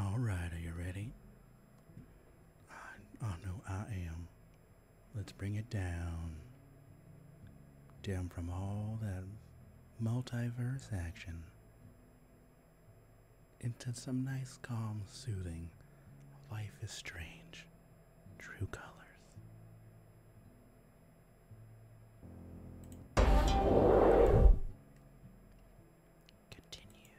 All right, are you ready? I, know oh, I am. Let's bring it down down from all that multiverse action into some nice, calm, soothing. Life is strange, true colors. Continue.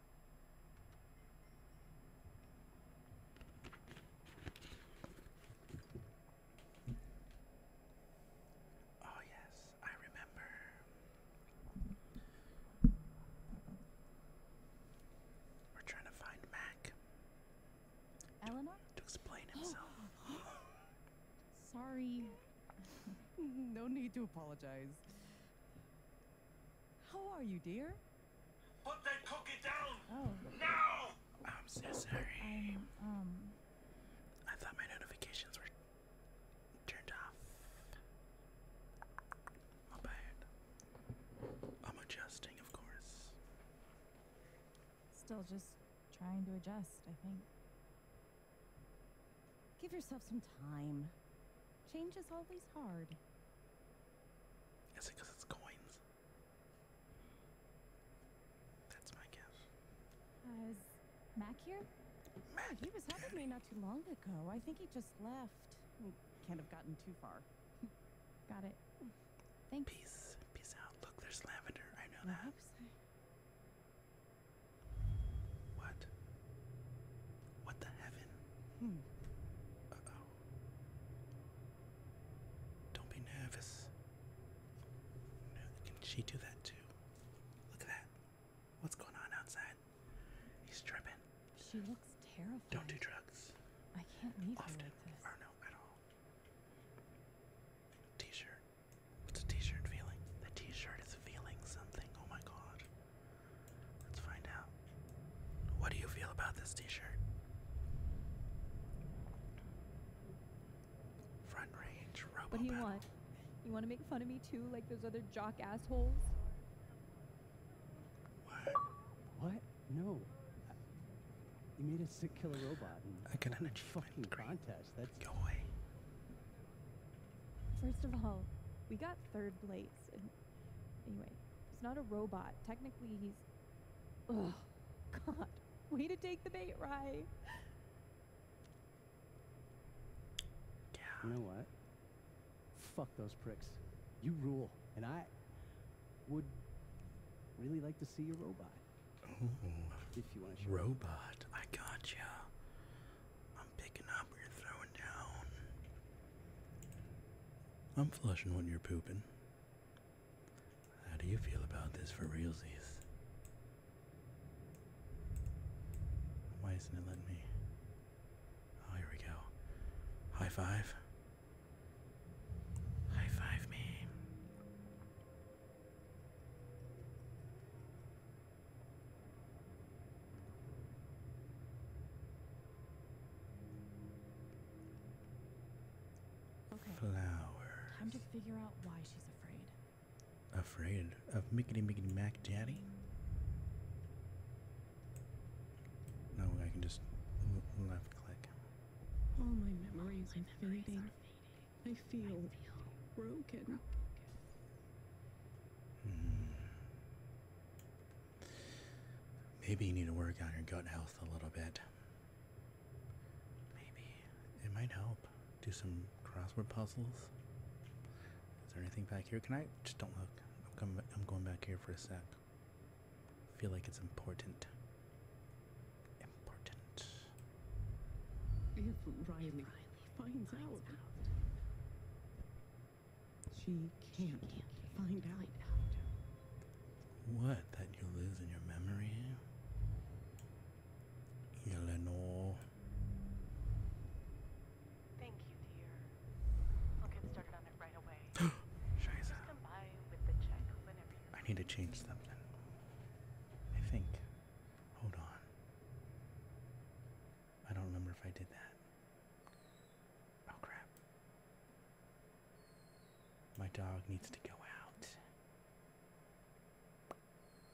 Oh, yes, I remember. We're trying to find Mac. Eleanor? To explain himself. Sorry. no need to apologize. How are you, dear? Put that cookie down! Oh. Now! I'm so sorry. i um, um... I thought my notifications were turned off. I'm adjusting, of course. Still just trying to adjust, I think. Give yourself some time. Change is always hard. Is it it's coins? That's my guess. Uh, Mac here? Mac. he was helping me not too long ago. I think he just left. can't have gotten too far. Got it. Thanks. Peace. Peace out. Look, there's lavender. I know that. what? What the heaven? Hmm. oh. Don't be nervous. can she do that too? Look at that. What's going on outside? He's tripping. She looks terrible. Don't do drugs. I can't leave Often, T-shirt. What's a T-shirt feeling? The T-shirt is feeling something. Oh my god. Let's find out. What do you feel about this t shirt? Front range, robo. What do you want? You want to make fun of me too, like those other jock assholes? What? What? No. You made a sick killer robot. And I got an fucking contest. That's go away. First of all, we got third place, Anyway, he's not a robot. Technically, he's. Ugh, God. Way to take the bait, right? Yeah. You know what? Fuck those pricks. You rule, and I would really like to see your robot. If you want to show Robot, I got you. I'm picking up you're throwing down. I'm flushing when you're pooping. How do you feel about this for realsies? Why isn't it letting me? Oh, here we go. High five. High five me. Okay. Time to figure out why she's afraid. Afraid of Mickey, Mickey Mac Daddy? No, I can just left click. All my memories, are fading. I feel, broken. Hmm. Maybe you need to work on your gut health a little bit. Maybe. It might help. Do some crossword puzzles. Is there anything back here? Can I just don't look? I'm coming. I'm going back here for a sec. feel like it's important. Important. If Riley, finds, out. She can't, find, out. find out. What? That you're losing your memory? Eleanor. Thank you, dear. I'll get started on it right away. Just I need to change something. I think. Hold on. I don't remember if I did that. Oh crap. My dog needs to go out.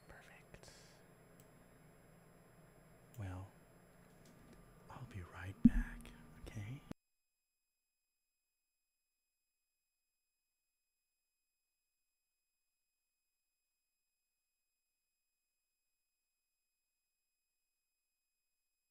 Perfect. Well, I'll be right back, okay?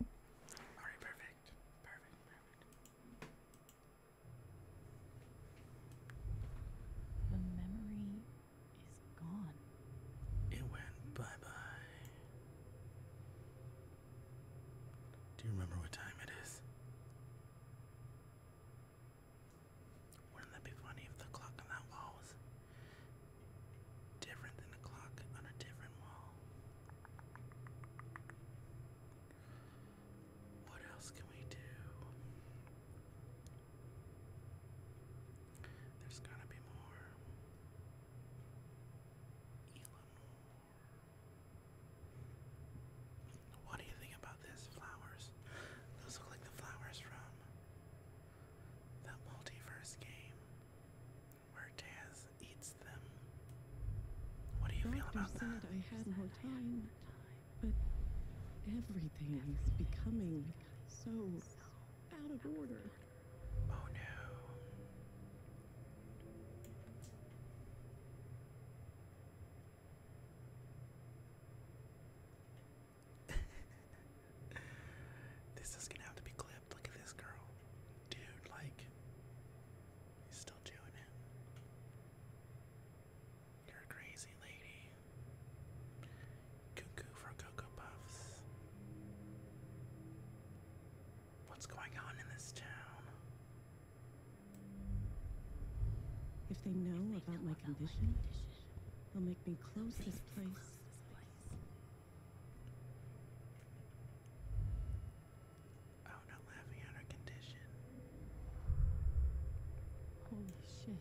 All right, perfect. Perfect, perfect. A memory it went bye bye. Do you remember what time it is? Wouldn't that be funny if the clock on that wall was different than the clock on a different wall? What else can we do? There's gotta be more. Elanor. What do you think about this? Flowers. Those look like the flowers from the multiverse game where Taz eats them. What do you feel about that? I had more time, but everything is becoming so out of order. Oh no. this is gonna have to be clipped. Look at this girl. Dude, like, he's still doing it. You're a crazy lady. Cuckoo for Cocoa Puffs. What's going on in this town? If they know about, my, condition, they'll make me close this place. Oh, not laughing at condition. Holy shit.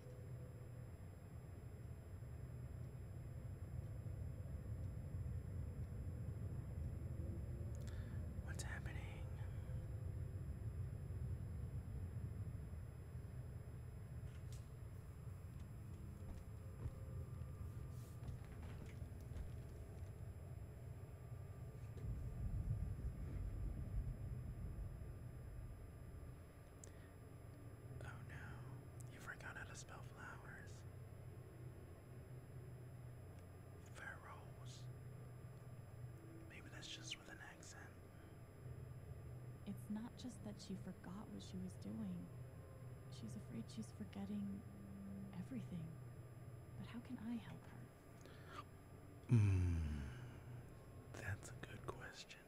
What's happening? Oh no, you forgot how to spell flowers. Ferals. Maybe that's just with an accent. It's not just that she forgot what she was doing. She's afraid she's forgetting everything. But how can I help her? Mm, that's a good question.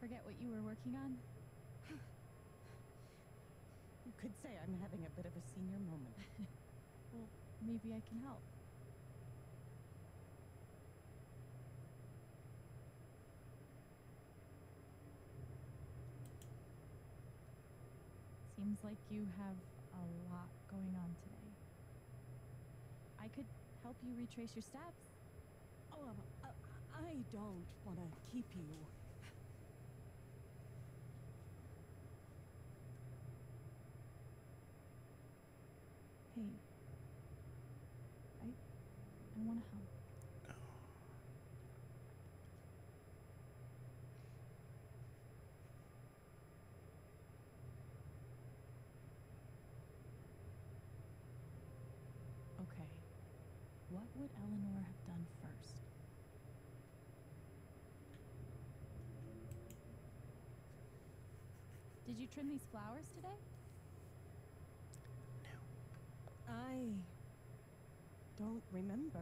Forget what you were working on? you could say I'm having a bit of a senior moment. well, maybe I can help. Seems like you have a lot going on today. I could help you retrace your steps. Oh, uh, uh, I don't want to keep you pain. I, I want to help. Oh. Okay. What would Eleanor have done first? Did you trim these flowers today? I don't remember.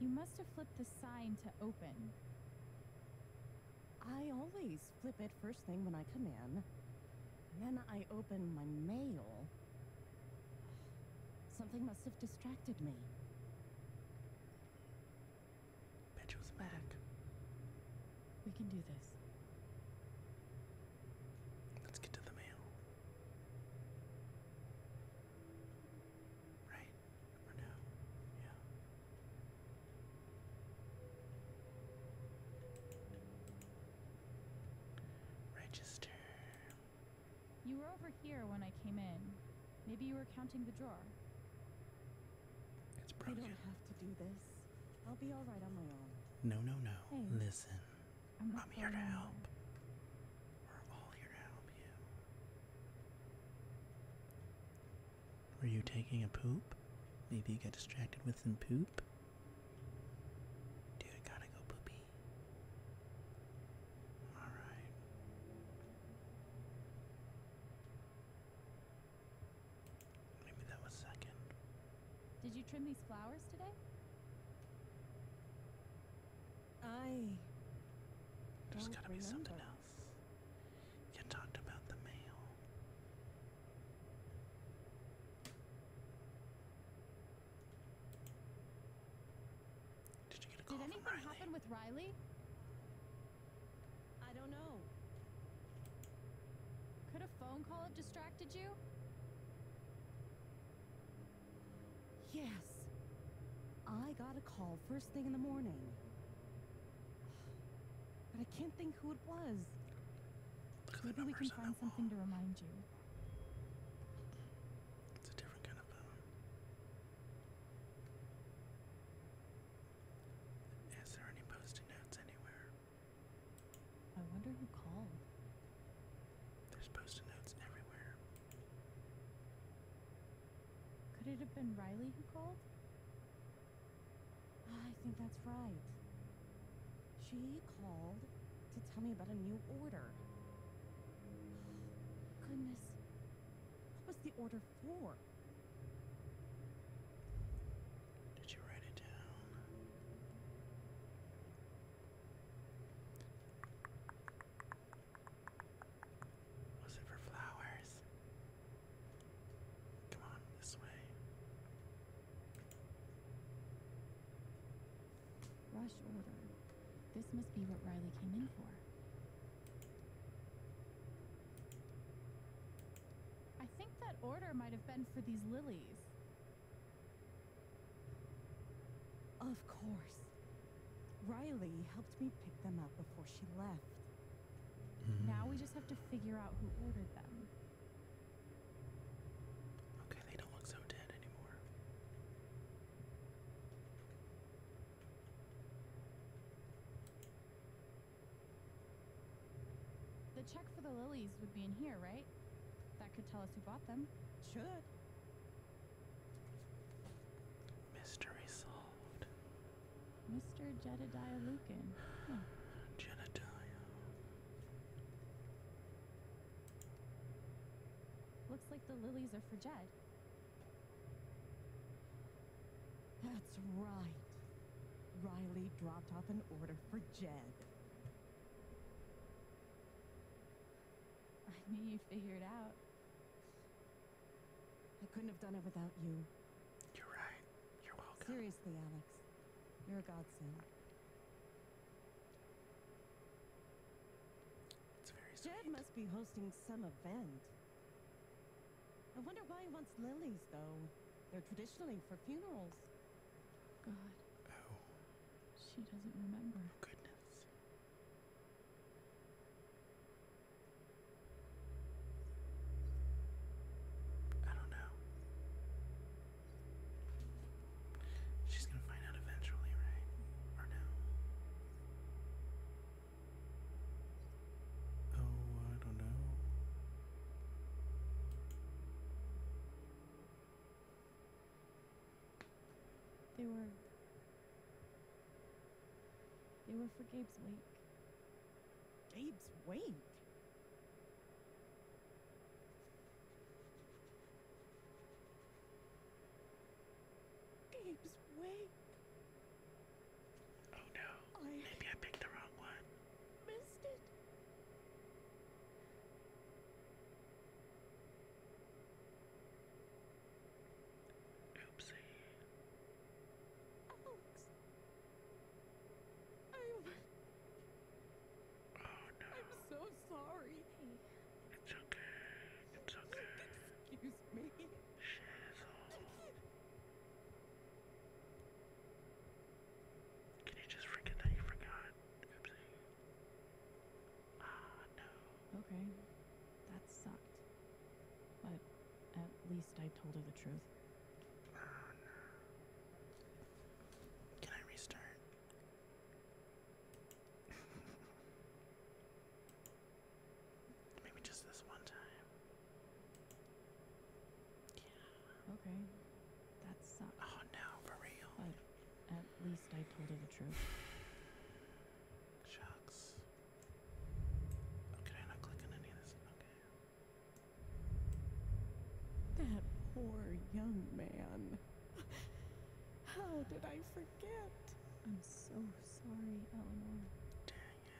You must have flipped the sign to open. I always flip it first thing when I come in. then I open my mail. Something must have distracted me. Bet back. We can do this. Let's get to the mail. Right? Or no? Yeah. Register. You were over here when I came in. Maybe you were counting the drawer. It's broken. I don't have to do this. I'll be all right on my own. No, no, no. Listen, I'm, here to help. We're all here to help you. Were you taking a poop? Maybe you got distracted with some poop? Dude, gotta go poopy. Alright. Maybe that was second. Did you trim these flowers today? I. There's gotta be something else. You talked about the mail. Did anything happen with Riley? I don't know. Could a phone call have distracted you? Yes. I got a call first thing in the morning. But I can't think who it was. Maybe we can find something to remind you. It's a different kind of poem. Is there any post-it notes anywhere? I wonder who called. There's post-it notes everywhere. Could it have been Riley who called? Ah, I think that's right. She called to tell me about a new order. Goodness. What was the order for? Did you write it down? Was it for flowers? Come on, this way. Rush order. This must be what Riley came in for. I think that order might have been for these lilies. Of course. Riley helped me pick them up before she left. Now we just have to figure out who ordered them. Okay, they don't look so dead anymore. The check for the lilies would be in here, right? That could tell us who bought them. Should. Mystery solved. Mr. Jedediah Lukin. Huh. Looks like the lilies are for Jed. That's right. Riley dropped off an order for Jed. I knew you'd figure it out. I couldn't have done it without you. You're right. You're welcome. Seriously, Alex. You're a godsend. It's very strange. Jed must be hosting some event. I wonder why he wants lilies, though. They're traditionally for funerals. God. Oh. She doesn't remember. Oh, goodness. I don't know. She's gonna find out eventually, right? Or no? Oh, I don't know. They were. They were for Gabe's wake. Jabe's wink. Gabe's wake. Oh no. Maybe I picked the wrong one. Missed it. Oopsie. Alex. I'm. Oh no. I'm so sorry. It's okay. It's okay. Excuse me. Shizzle. you just forget that you forgot? Oopsie. Ah, no. Okay. That sucked. But at least I told her the truth. Oh, no. Can I restart? Maybe just this one time. Yeah. Okay. That sucks. Oh no, for real. at least I told her the truth. Shucks. Oh, can I not click any of this? Okay. That poor young man. How did I forget? I'm so sorry, Eleanor. Dang it.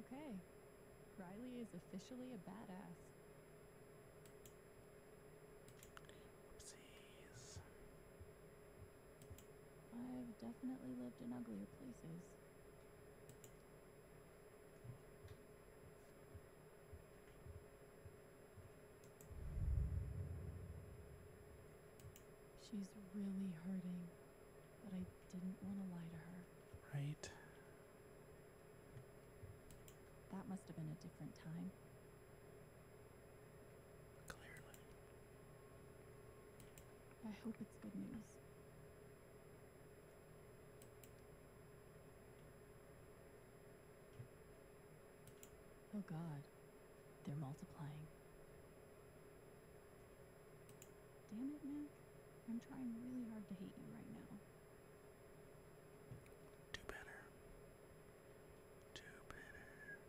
Okay. Riley is officially a badass. Oopsies. I've definitely lived in uglier places. She's really hurting, but I didn't want to lie to her. Right. That must have been a different time. Clearly. I hope it's good news. Oh god, they're multiplying. Damn it, man! I'm trying really hard to hate you right now. Do better. Do better.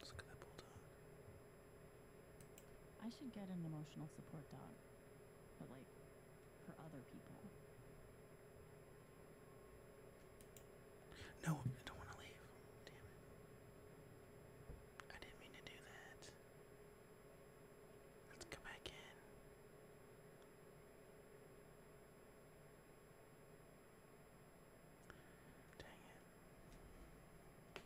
Let's look at that bulldog. I should get an emotional support dog, but like for other people. No, I don't want to leave. Damn it. I didn't mean to do that. Let's come back in. Dang it.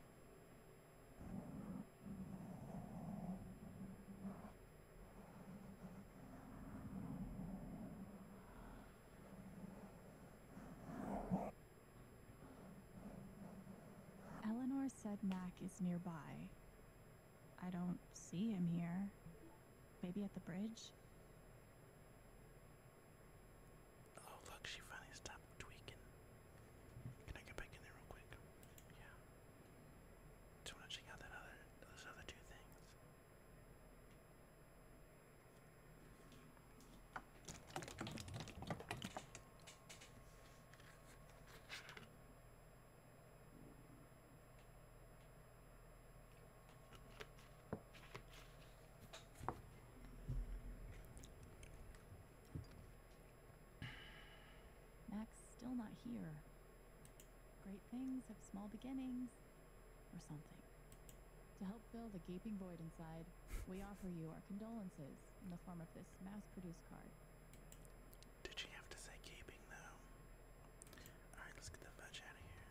Eleanor said Mac is nearby. I don't see him here. Maybe at the bridge? Oh look, she finally stopped tweaking. Can I get back in there real quick? Yeah. Just want check out that other those other two things. Max still not here. Great things have small beginnings, or something. To help fill the gaping void inside, we offer you our condolences in the form of this mass-produced card. Did she have to say gaping though? All right, let's get the fudge out of here.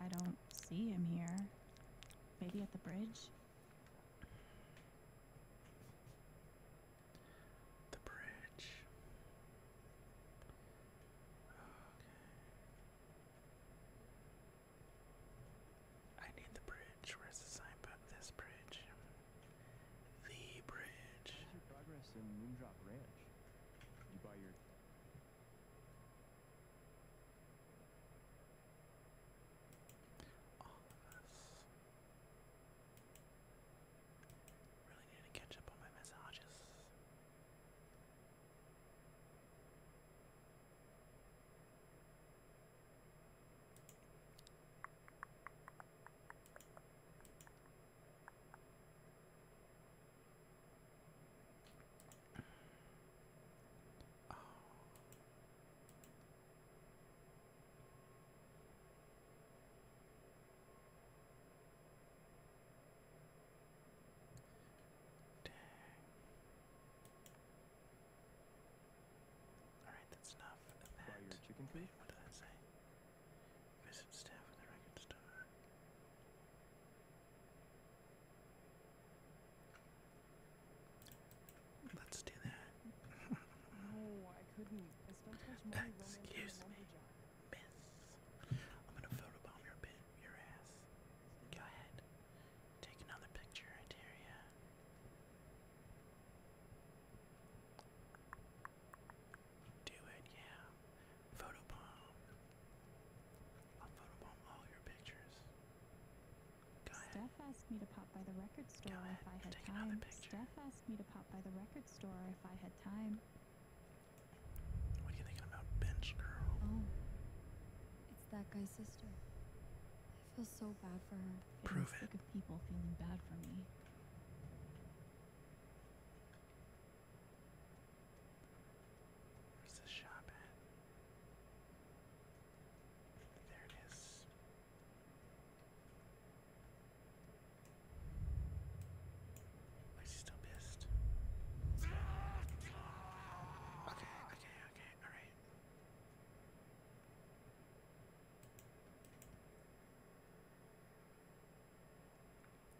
I don't see him here. Maybe at the bridge? The bridge. Okay. I need the bridge. Where's the sign button? This bridge. The bridge. All of us. Really need to catch up on my massages. Oh. Dang. Alright, that's enough. And that, chicken wait, what did I say? Visit staff with the record store. Let's do that. no, I couldn't. Excuse me, miss. I'm gonna photobomb your bit, your ass. Go ahead. Take another picture, I dare ya. Do it, yeah. Photobomb. Steph asked me to pop by the record store if I had time. Steph asked me to pop by the record store if I had time. What are you thinking about bench girl? Oh. It's that guy's sister. I feel so bad for her. Prove it. Where's the shop at? There it is. Why is he still pissed? Okay, okay, okay, alright.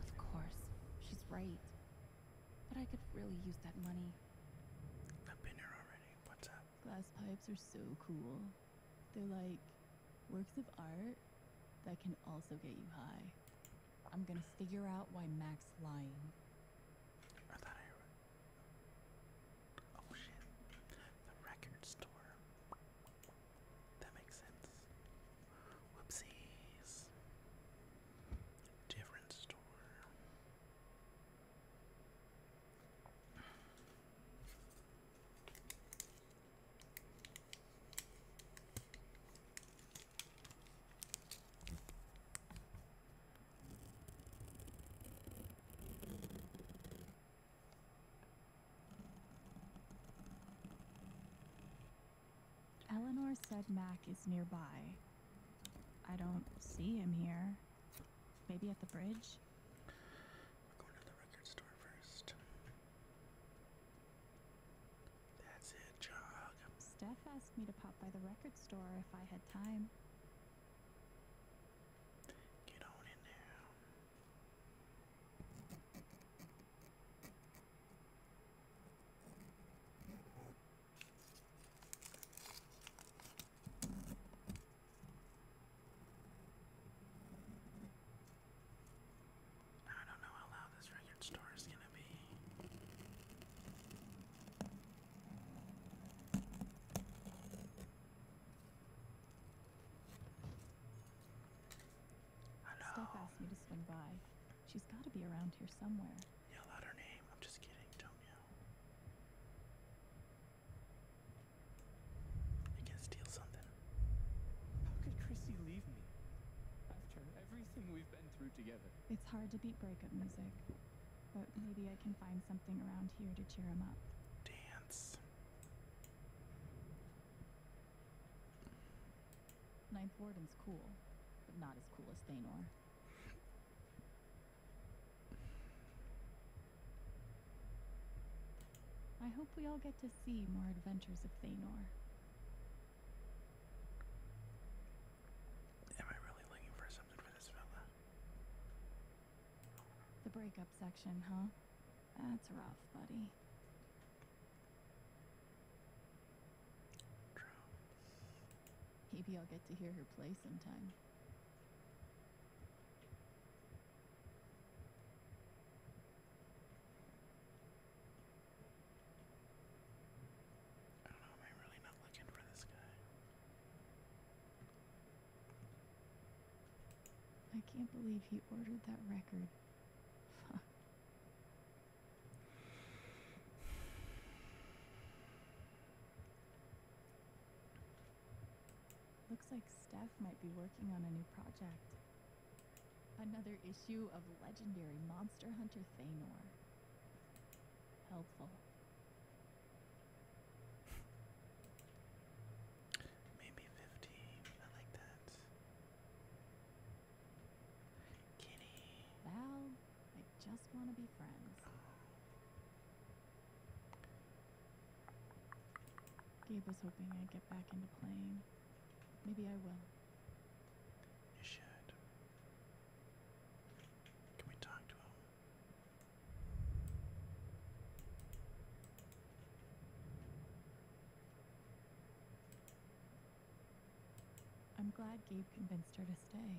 Of course, she's right. But I could really use that money. I've been here already. What's up? Glass pipes are so cool. They're like works of art that can also get you high. I'm gonna figure out why Max's lying. I thought I Oh shit. The record store. That makes sense. Whoopsies. Different store. Eleanor said Mac is nearby. I don't see him here. Maybe at the bridge? We're going to the record store first. That's it, Jog. Steph me to pop by the record store if I had time. Get on in there. I don't know how loud this record store is going to be. Hello. asked me to swing by. She's got to be around here somewhere. Yell out her name. I'm just kidding. Don't yell. can steal something. How could Chrissy leave me? After everything we've been through together. It's hard to beat breakup music but maybe I can find something around here to cheer him up. Dance. Ninth Warden's cool, but not as cool as Thanor. I hope we all get to see more adventures of Thanor. Am I really looking for something for this fella? The breakup section, huh? That's rough, buddy. Maybe I'll get to hear her play sometime. I don't know, am I really not looking for this guy? I can't believe he ordered that record. Fuck. Looks like Steph might be working on a new project. Another issue of legendary monster hunter Thanor. Helpful. Maybe 50. I like that. Kitty. Val, I just want to be friends. Oh. Gabe was hoping I'd get back into playing. Maybe I will. You should. Can we talk to him? I'm glad Gabe convinced her to stay.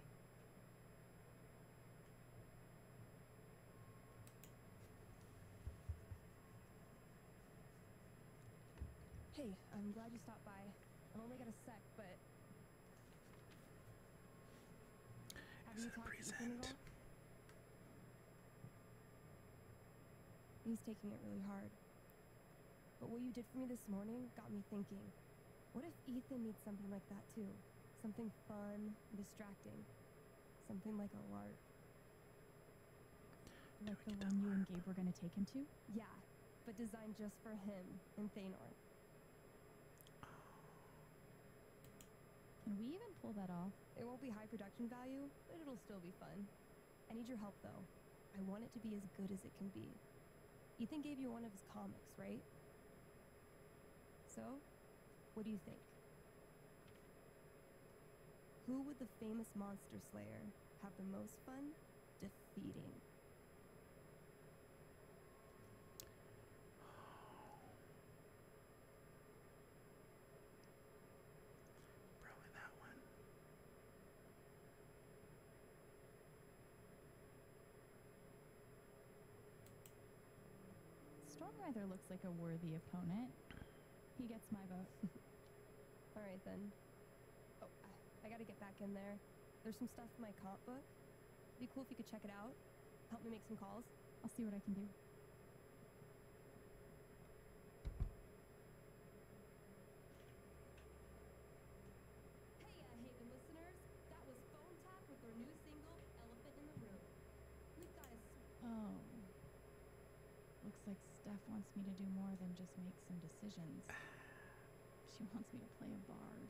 Hey, I'm glad you stopped by. I've only got a sec, but have Except present. He's taking it really hard. But what you did for me this morning got me thinking. What if Ethan needs something like that too? Something fun, distracting. Something like a lark. Like the one you and Gabe were gonna take him to? Yeah, but designed just for him and Thanor. Can we even pull that off? It won't be high production value, but it'll still be fun. I need your help, though. I want it to be as good as it can be. Ethan gave you one of his comics, right? So, what do you think? Who would the famous monster slayer have the most fun defeating? Probably that one. Stormweather looks like a worthy opponent. He gets my vote. All right then. Oh, I gotta get back in there. There's some stuff in my comp book. It'd be cool if you could check it out. Help me make some calls. I'll see what I can do. Hey, uh, Haven listeners. That was Phone Tap with their new single, Elephant in the Room. We've oh. Looks like Steph wants me to do more than just make some decisions. She wants me to play a bard.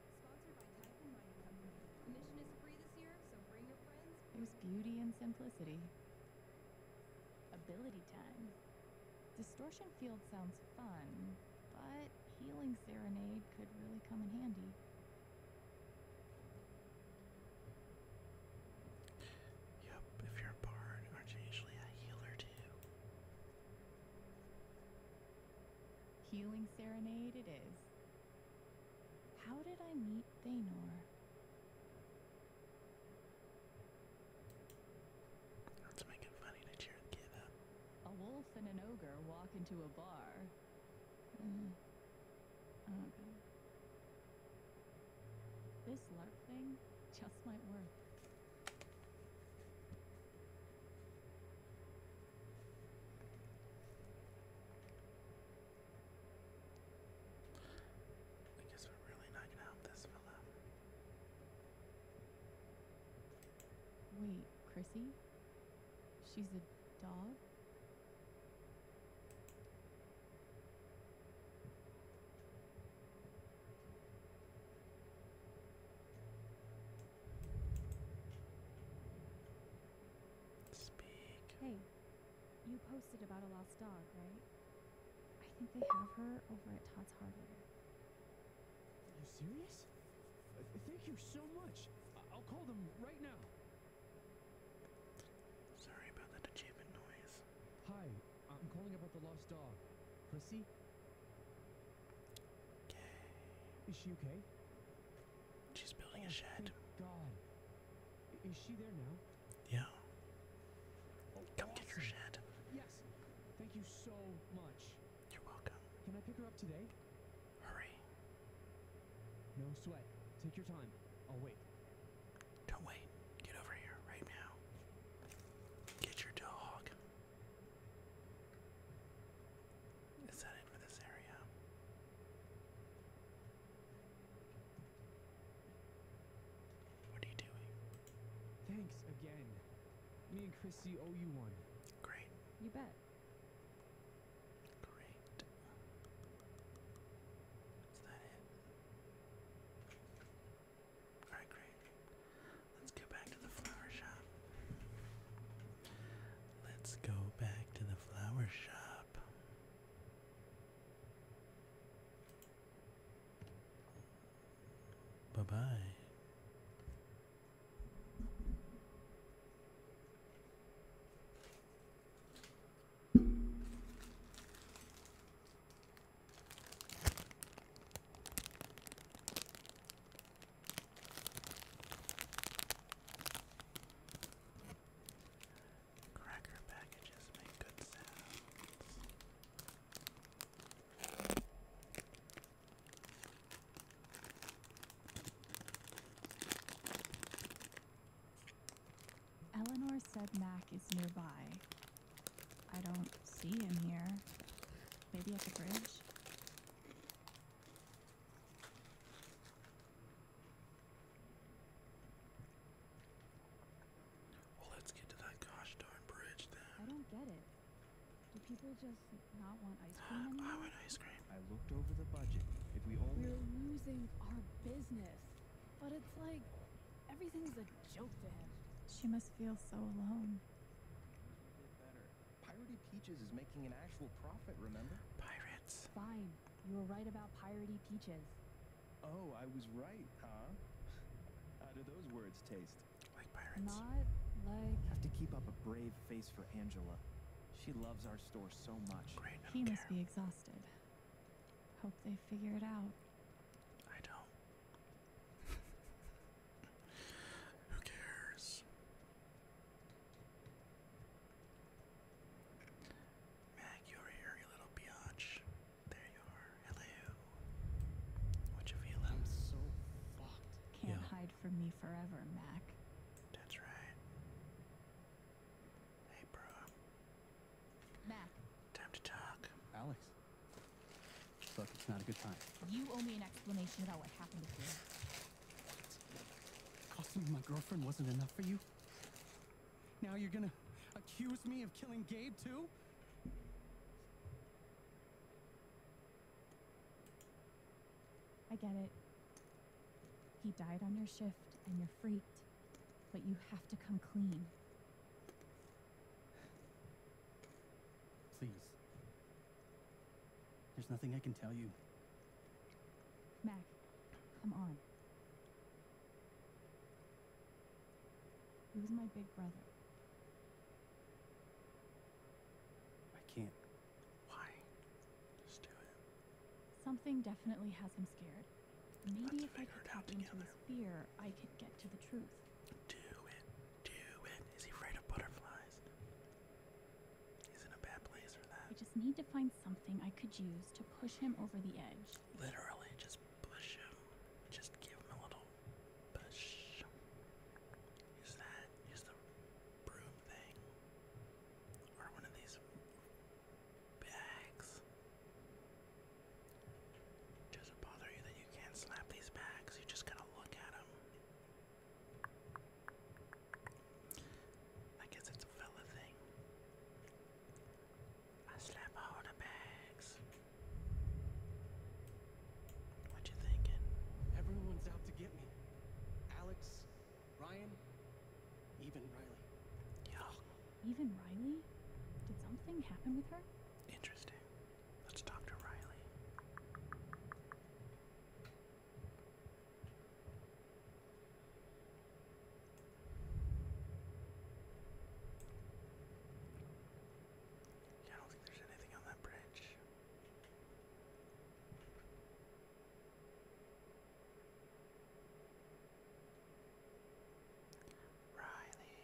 There's beauty and simplicity. Ability time. Distortion field sounds fun, but healing serenade could really come in handy. Yep, if you're a bard, aren't you usually a healer too? Healing serenade it is. How did I meet Thanor? Let's make it funny to cheer the up. A wolf and an ogre walk into a bar. Hmm. This lark thing just might work. I guess we're really not gonna help this fella. Wait, Chrissy? She's a dog? Hey, you posted about a lost dog, right? I think they have her over at Todd's hardware. Are you serious? Uh, thank you so much. I I'll call them right now. Sorry about that achievement noise. Hi, I'm calling about the lost dog. Chrissy? Okay. Is she okay? She's building a shed. God. Is she there now? Yeah. Oh, Come get your shed. Yes. Thank you so much. You're welcome. Can I pick her up today? Hurry. No sweat. Take your time. I'll wait. Don't wait. Get over here right now. Get your dog. Is that it for this area? What are you doing? Thanks again. Me and Chrissy owe you one. Great. You bet. Great. Is that it? Alright, great. Let's go back to the flower shop. Let's go back to the flower shop. Bye bye. Eleanor said Mac is nearby. I don't see him here. Maybe at the bridge? Well, let's get to that gosh darn bridge then. I don't get it. Do people just not want ice cream anymore? I want ice cream. I looked over the budget. If we only We're losing our business. But it's like everything's a joke to him. She must feel so alone. Better. Pirated Peaches is making an actual profit, remember? Pirates. Fine. You were right about piratey peaches. Oh, I was right, huh? How do those words taste? Like pirates. Not like. I have to keep up a brave face for Angela. She loves our store so much. He must be exhausted. Hope they figure it out. I don't. Who cares? Mac, you're here, you little biatch. There you are. Hello. What you feeling? I'm so fucked. Can't hide from me forever, Mac. That's right. Hey, bro. Mac. Time to talk. Alex. Look, it's not a good time. You owe me an explanation about what happened to you. Costing my girlfriend wasn't enough for you? Now you're gonna accuse me of killing Gabe too? I get it. He died on your shift and you're freaked. But you have to come clean. Please. There's nothing I can tell you. Mac, come on. He was my big brother. I can't. Why? Just do it. Something definitely has him scared. Maybe if I could tap into his fear, I could get to the truth. Do it. Do it. Is he afraid of butterflies? He's in a bad place for that. I just need to find something I could use to push him over the edge. Literally, just push him. Just give him a little push. Use that. Use the broom thing. Or one of these bags. Does it bother you that you can't slap these bags? You just gotta look at them. I guess it's a fella thing. I slap all the bags. What you thinking? Everyone's out to get me. Alex, Ryan, even Riley. Yeah. Even Riley? Did something happen with her? Interesting. Let's talk to Riley. Yeah, I don't think there's anything on that branch. Riley.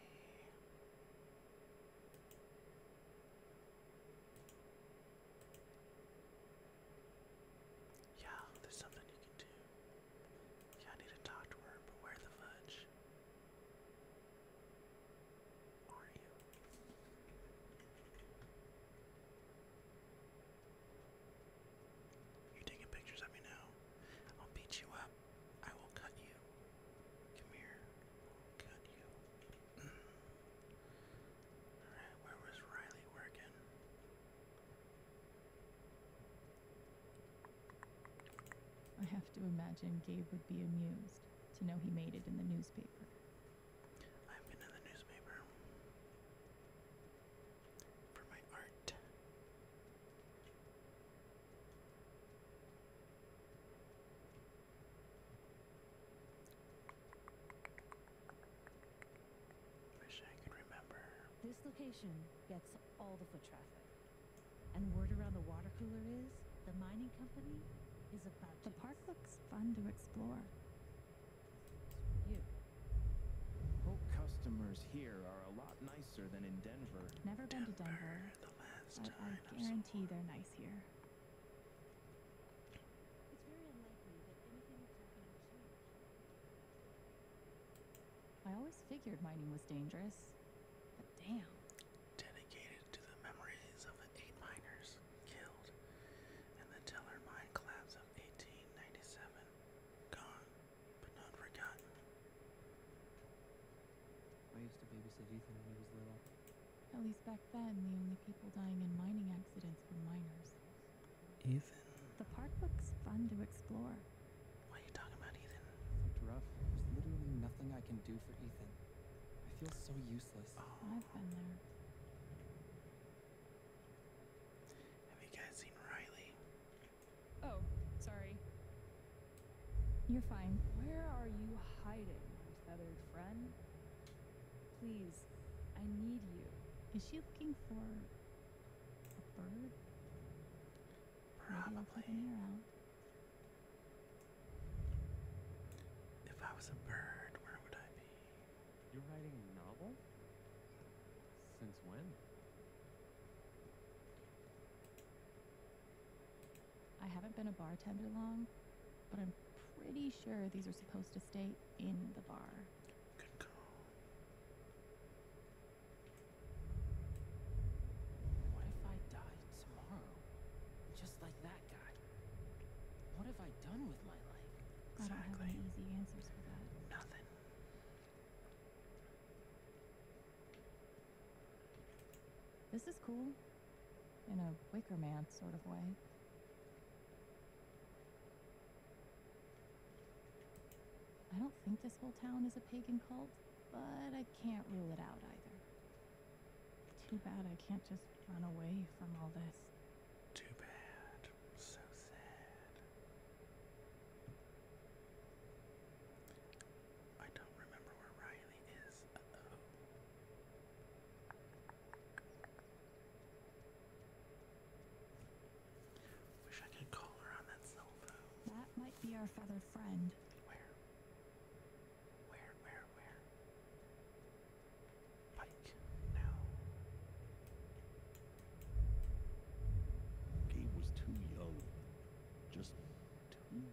Yeah, there's something you can do. Yeah, I need to talk to her, but where the fudge are you? you taking pictures of me now. I'll beat you up. I will cut you. Come here. I'll cut you. Alright, where was Riley working? I have to imagine Gabe would be amused to know he made it in the newspaper. I've been in the newspaper for my art. This location gets all the foot traffic. And word around the water cooler is the mining company is about to. The park looks fun to explore. customers here are a lot nicer than in Denver. Never been to Denver. I guarantee they're nice here. I always figured mining was dangerous, but damn. Dedicated to the memories of the eight miners killed in the Teller mine collapse of 1897. Gone, but not forgotten. I used to babysit Ethan when he was little. At least back then, the only people dying in mining accidents were miners. Ethan? The park looks fun to explore. Why are you talking about, Ethan? It's rough. There's literally nothing I can do for Ethan. I feel so useless. Oh. I've been there. Have you guys seen Riley? Oh, sorry. You're fine. Where are you hiding, feathered friend? Please, I need you. Is she looking for a bird? Probably. If I was a bird, where would I be? You're writing a novel? Since when? I haven't been a bartender long, but I'm pretty sure these are supposed to stay in the bar. What if I die tomorrow? Just like that guy. What have I done with my life? Exactly. I have easy answers for that. Nothing. This is cool. In a Wicker Man sort of way. I don't think this whole town is a pagan cult, but I can't rule it out either. Too bad I can't just run away from all this. Too bad. So sad. I don't remember where Riley is. Wish I could call her on that cell phone. That might be our feathered friend. Where? Where, where, where? Pike, no. Gabe was too young. Just too young.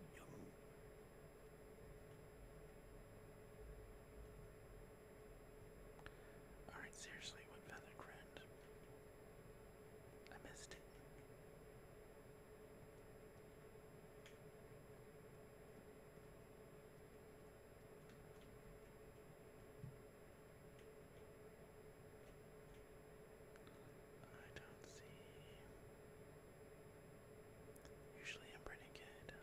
Alright, seriously, what feather friend? I missed it. I don't see. Usually I'm pretty good.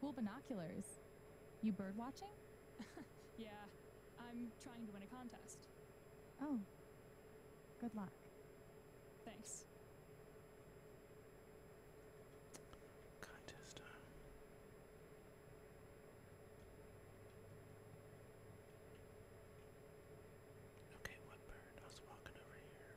Cool binoculars. You bird watching? yeah, I'm trying to win a contest. Oh, good luck. Thanks. Contest Okay, what bird? was walking over here.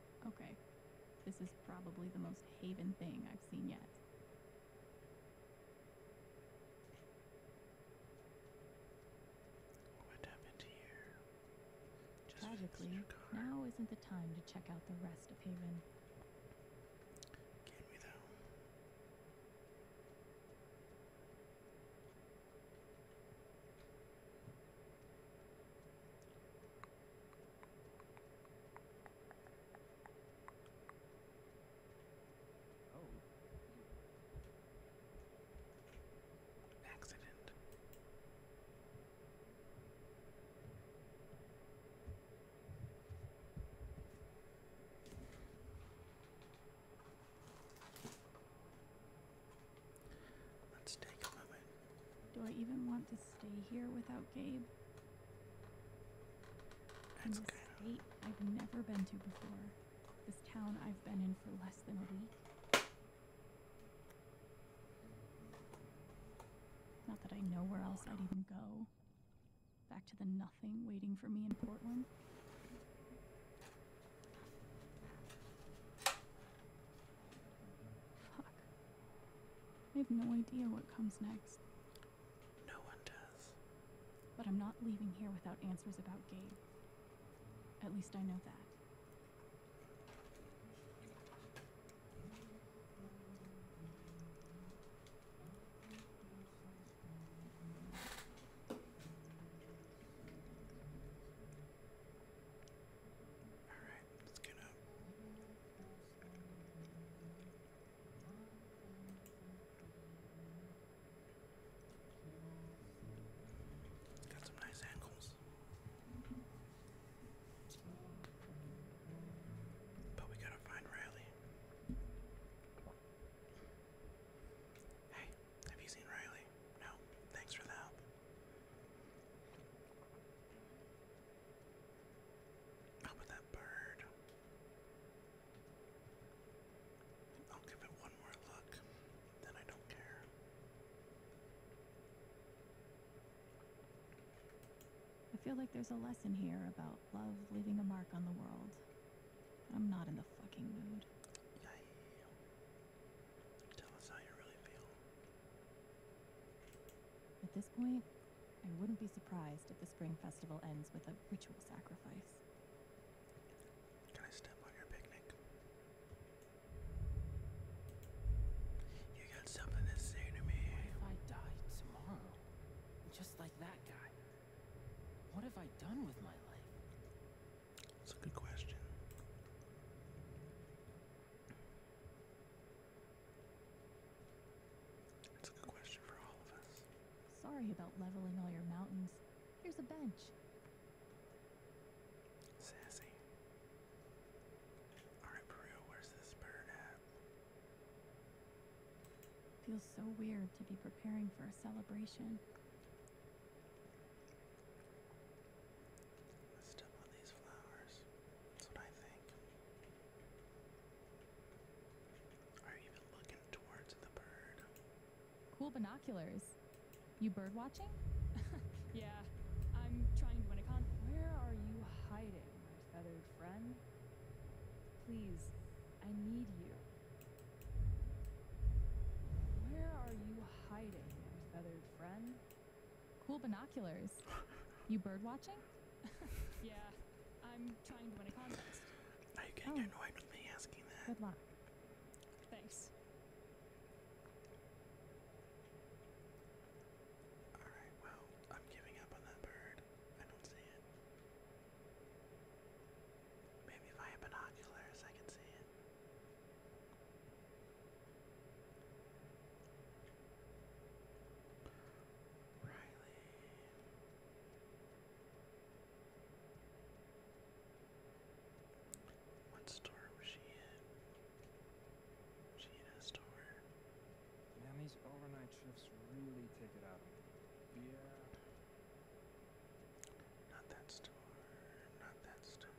Okay, this is probably the most haven thing I've seen yet. What happened here? Tragically, now isn't the time to check out the rest of Haven. Can we though? Oh. An accident. Let's take a moment do I even want to stay here without Gabe? That's in this state I've never been to before. This town I've been in for less than a week. Not that I know where else I'd even go. Back to the nothing waiting for me in Portland. Fuck. I have no idea what comes next. No one does. But I'm not leaving here without answers about Gabe. At least I know that. All right, let's get up. Got some nice angles. But we gotta find Riley. Hey, have you seen Riley? No, thanks for the help. How about that bird? I'll give it one more look, then I don't care. I feel like there's a lesson here about love leaving a mark on the world. I'm not in the fucking mood. Yay. Tell us how you really feel. At this point, I wouldn't be surprised if the spring festival ends with a ritual sacrifice. Can I step on your picnic? You got something to say to me. if I die tomorrow? Just like that guy. What have I done with my life? That's a good question. That's a good question for all of us. Sorry about leveling all your mountains. Here's a bench. Sassy. Alright, Peru, where's this bird at? Feels so weird to be preparing for a celebration. Let's step on these flowers. That's what I think. Are you even looking towards the bird? Cool binoculars. You bird watching? yeah, I'm trying to win a con. Where are you hiding, my feathered friend? Please, I need you. Where are you hiding, my feathered friend? Cool binoculars. You bird watching? yeah, I'm trying to win a contest. Are you getting oh. annoyed with me asking that? Good luck. Thanks. Alright, well, I'm giving up on that bird. I don't see it. Maybe if I have binoculars, I can see it. What store was she in? she in a store? Man, these overnight shifts really take it out of me. Yeah. Not that store. Not that store.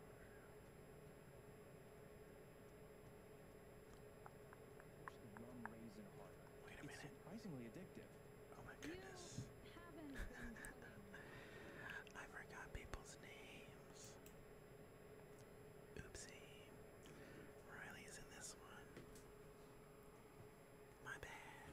Wait a minute. It's surprisingly addictive. Oh my goodness. I forgot people's names. Oopsie. Riley's in this one. My bad.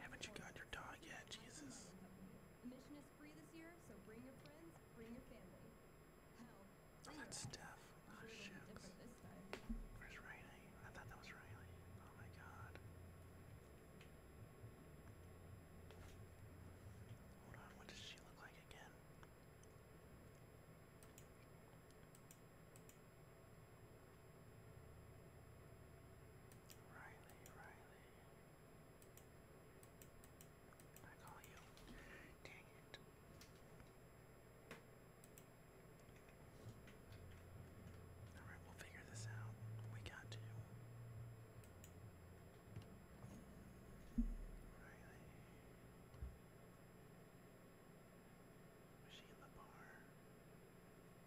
Haven't you got your dog yet, Jesus? oh, that's Steph. Oh, shucks. Where's Riley? I thought that was Riley. Oh my god. Hold on, what does she look like again? Riley, Riley. I call you. Dang it. Alright, we'll figure this out. We got to. Riley. Sheila Barr.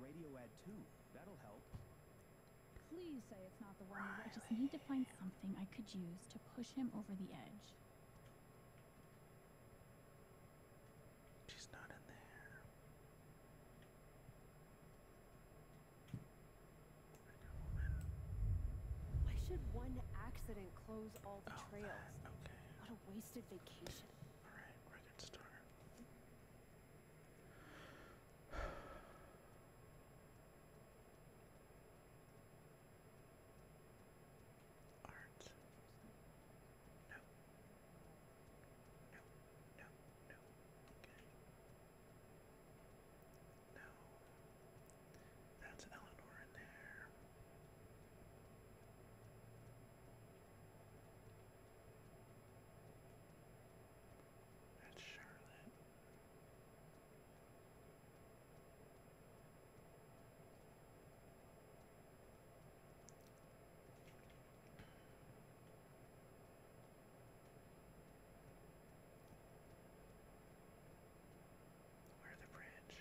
Radio ad 2. That'll help. Please say it's not the one. Riley. I just need to find something I could use to push him over the edge. She's not in there. Why should one accident close all the oh, trails? What a wasted vacation. All right, record start. Art. No. No. No. No. Okay. No. That's Eleanor in there. That's Charlotte. Where the bridge?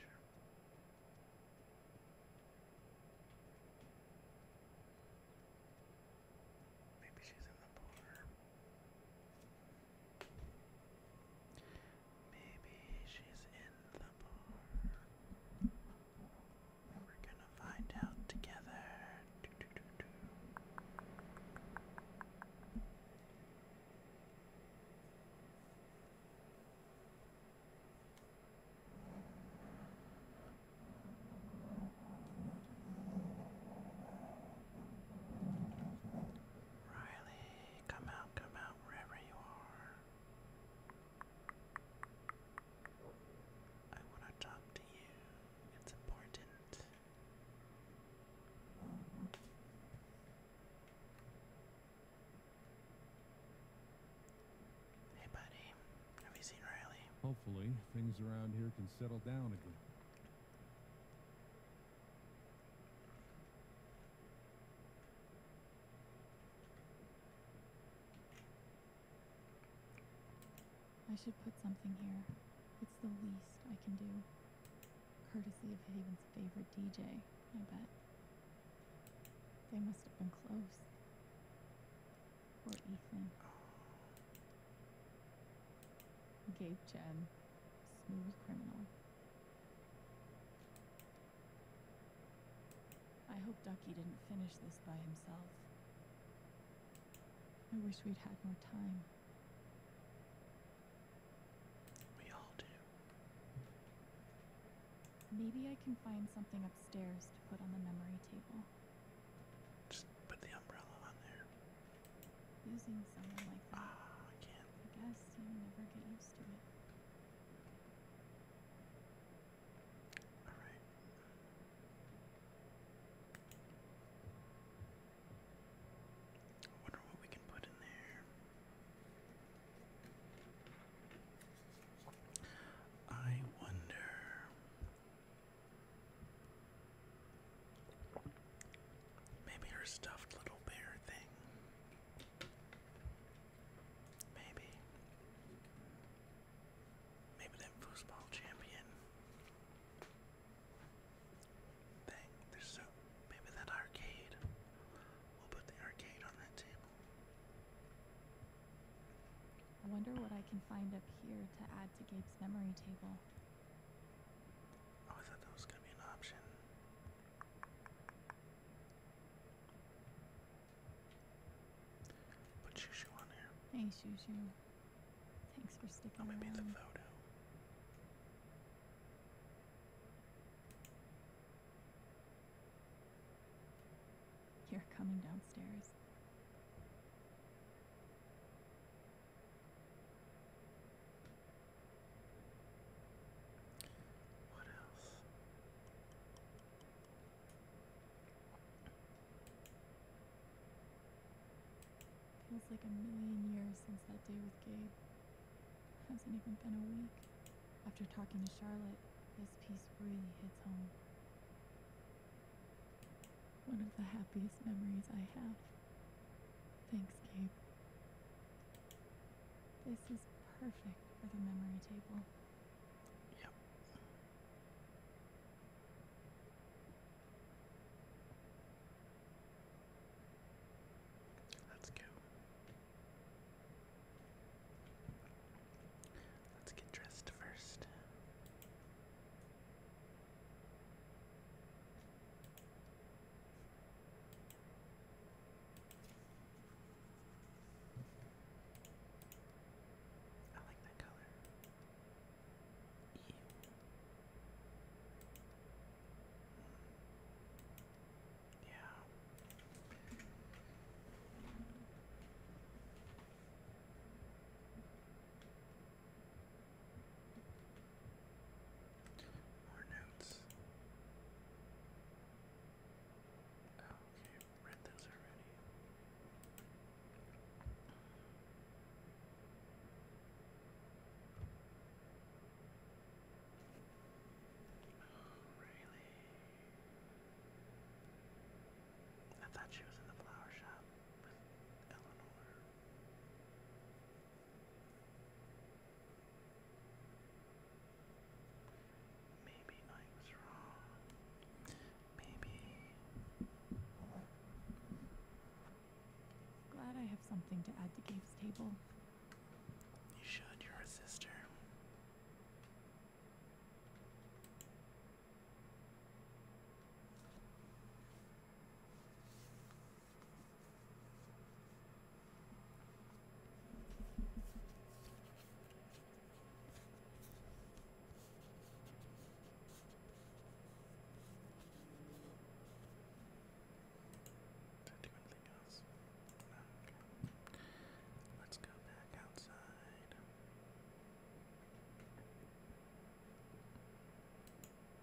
Maybe she's in the bar. Maybe she's in the bar. We're gonna find out together. Do, do, do, do. Riley, come out, come out wherever you are. I want to talk to you. It's important. Hey, buddy. Have you seen Riley? Hopefully, things around here can settle down again. I should put something here. It's the least I can do. Courtesy of Haven's favorite DJ, I bet. They must have been close. Poor Ethan. Gabe Chen, smooth criminal. I hope Ducky didn't finish this by himself. I wish we'd had more time. We all do. Maybe I can find something upstairs to put on the memory table. Just put the umbrella on there. Using someone like that. Ah, I can't. I guess you never get used to it. All right. I wonder what we can put in there. I wonder. Maybe her stuffed little bear thing. Maybe. Maybe that foosball champion thing. There's so maybe that arcade. We'll put the arcade on that table. I wonder what I can find up here to add to Gabe's memory table. Oh, I thought that was gonna be an option. Put Shushu on here. Hey, Shushu. Thanks for sticking the photo. You're coming downstairs. What else? Feels like a million years since that day with Gabe. Hasn't even been a week. After talking to Charlotte, this piece really hits home. One of the happiest memories I have. Thanks, Gabe. This is perfect for the memory table. Yep. Let's go. Let's get dressed first. I like that color. Yeah. More notes. Oh, okay, read those already. Oh, really? I thought she was in the flower shop with Eleanor. Maybe I was wrong. Maybe Glad I have something to add to Gabe's table. You should, you're a sister. No, Let's go back outside.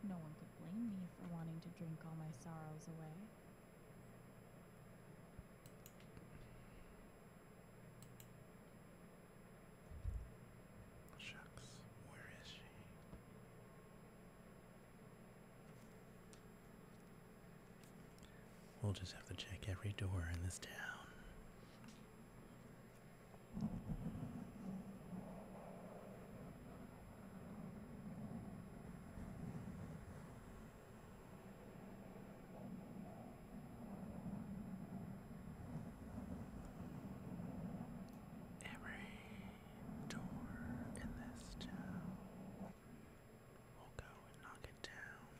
No one could blame me for wanting to drink all my sorrows away. Shucks, where is she? We'll just have to check every door in this town. Every door in this town. We'll go and knock it down.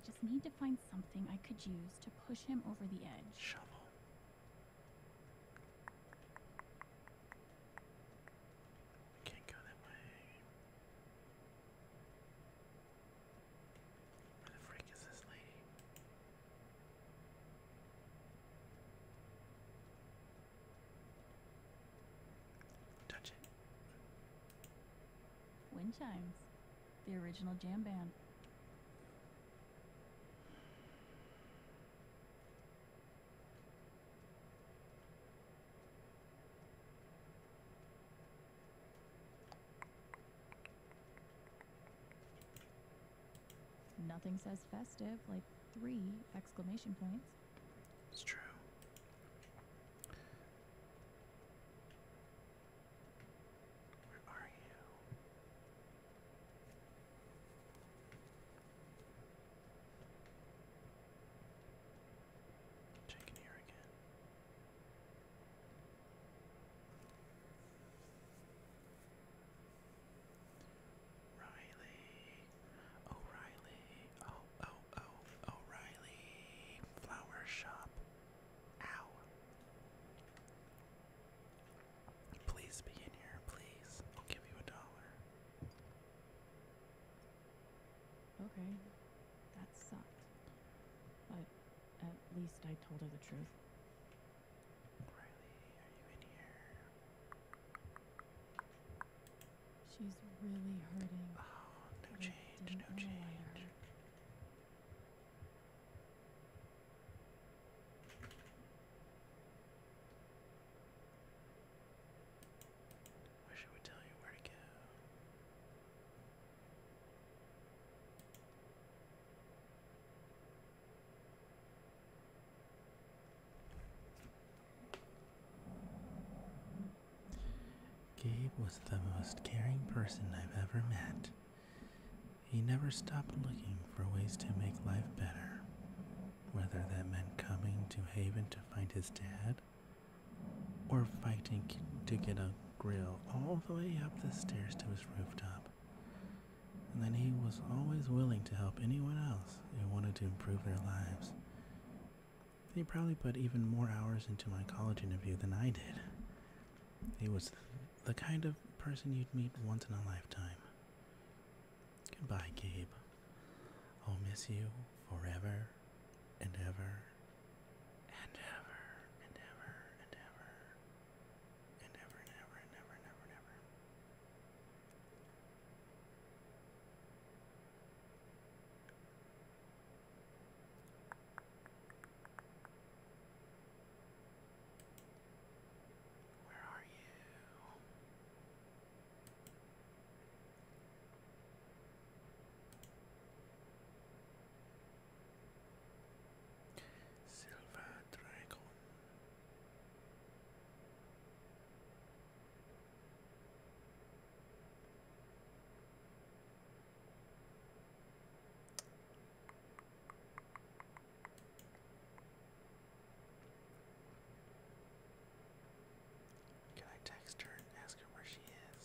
I just need to find something I could use to push him over the edge. Shovel. can't go that way. Where the freak is this lady? Touch it. Wind chimes. The original jam band. Nothing says festive like three exclamation points. It's true. Where are you? Checking here again. Riley, O'Reilly, oh, oh, oh, O'Reilly, flower shop, ow. Please be in here, please. I'll give you a dollar. Okay, that sucked. But at least I told her the truth. Riley, are you in here? She's really hurting. Oh, no change, no change. Why should we tell you where to go? Gabe was the most caring person I've ever met. He never stopped looking for ways to make life better, whether that meant coming to Haven to find his dad or fighting to get a grill all the way up the stairs to his rooftop and then he was always willing to help anyone else who wanted to improve their lives. He probably put even more hours into my college interview than I did. He was the kind of person you'd meet once in a lifetime. Goodbye, Gabe. I'll miss you forever and ever and ever and ever and ever and ever and ever and ever and ever and ever. Where are you? Silver Dragon. Can I text her and ask her where she is?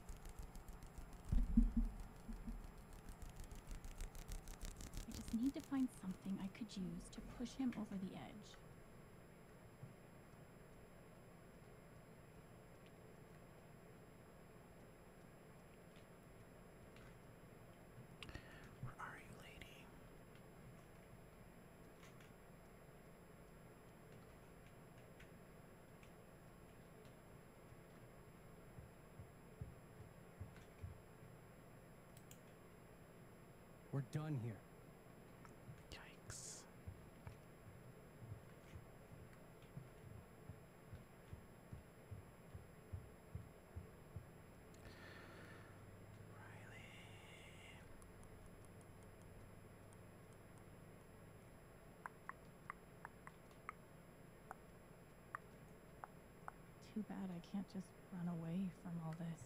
I just need to find something I could use to push him over the edge. Where are you, lady? We're done here. Yikes. Riley. Too bad I can't just run away from all this.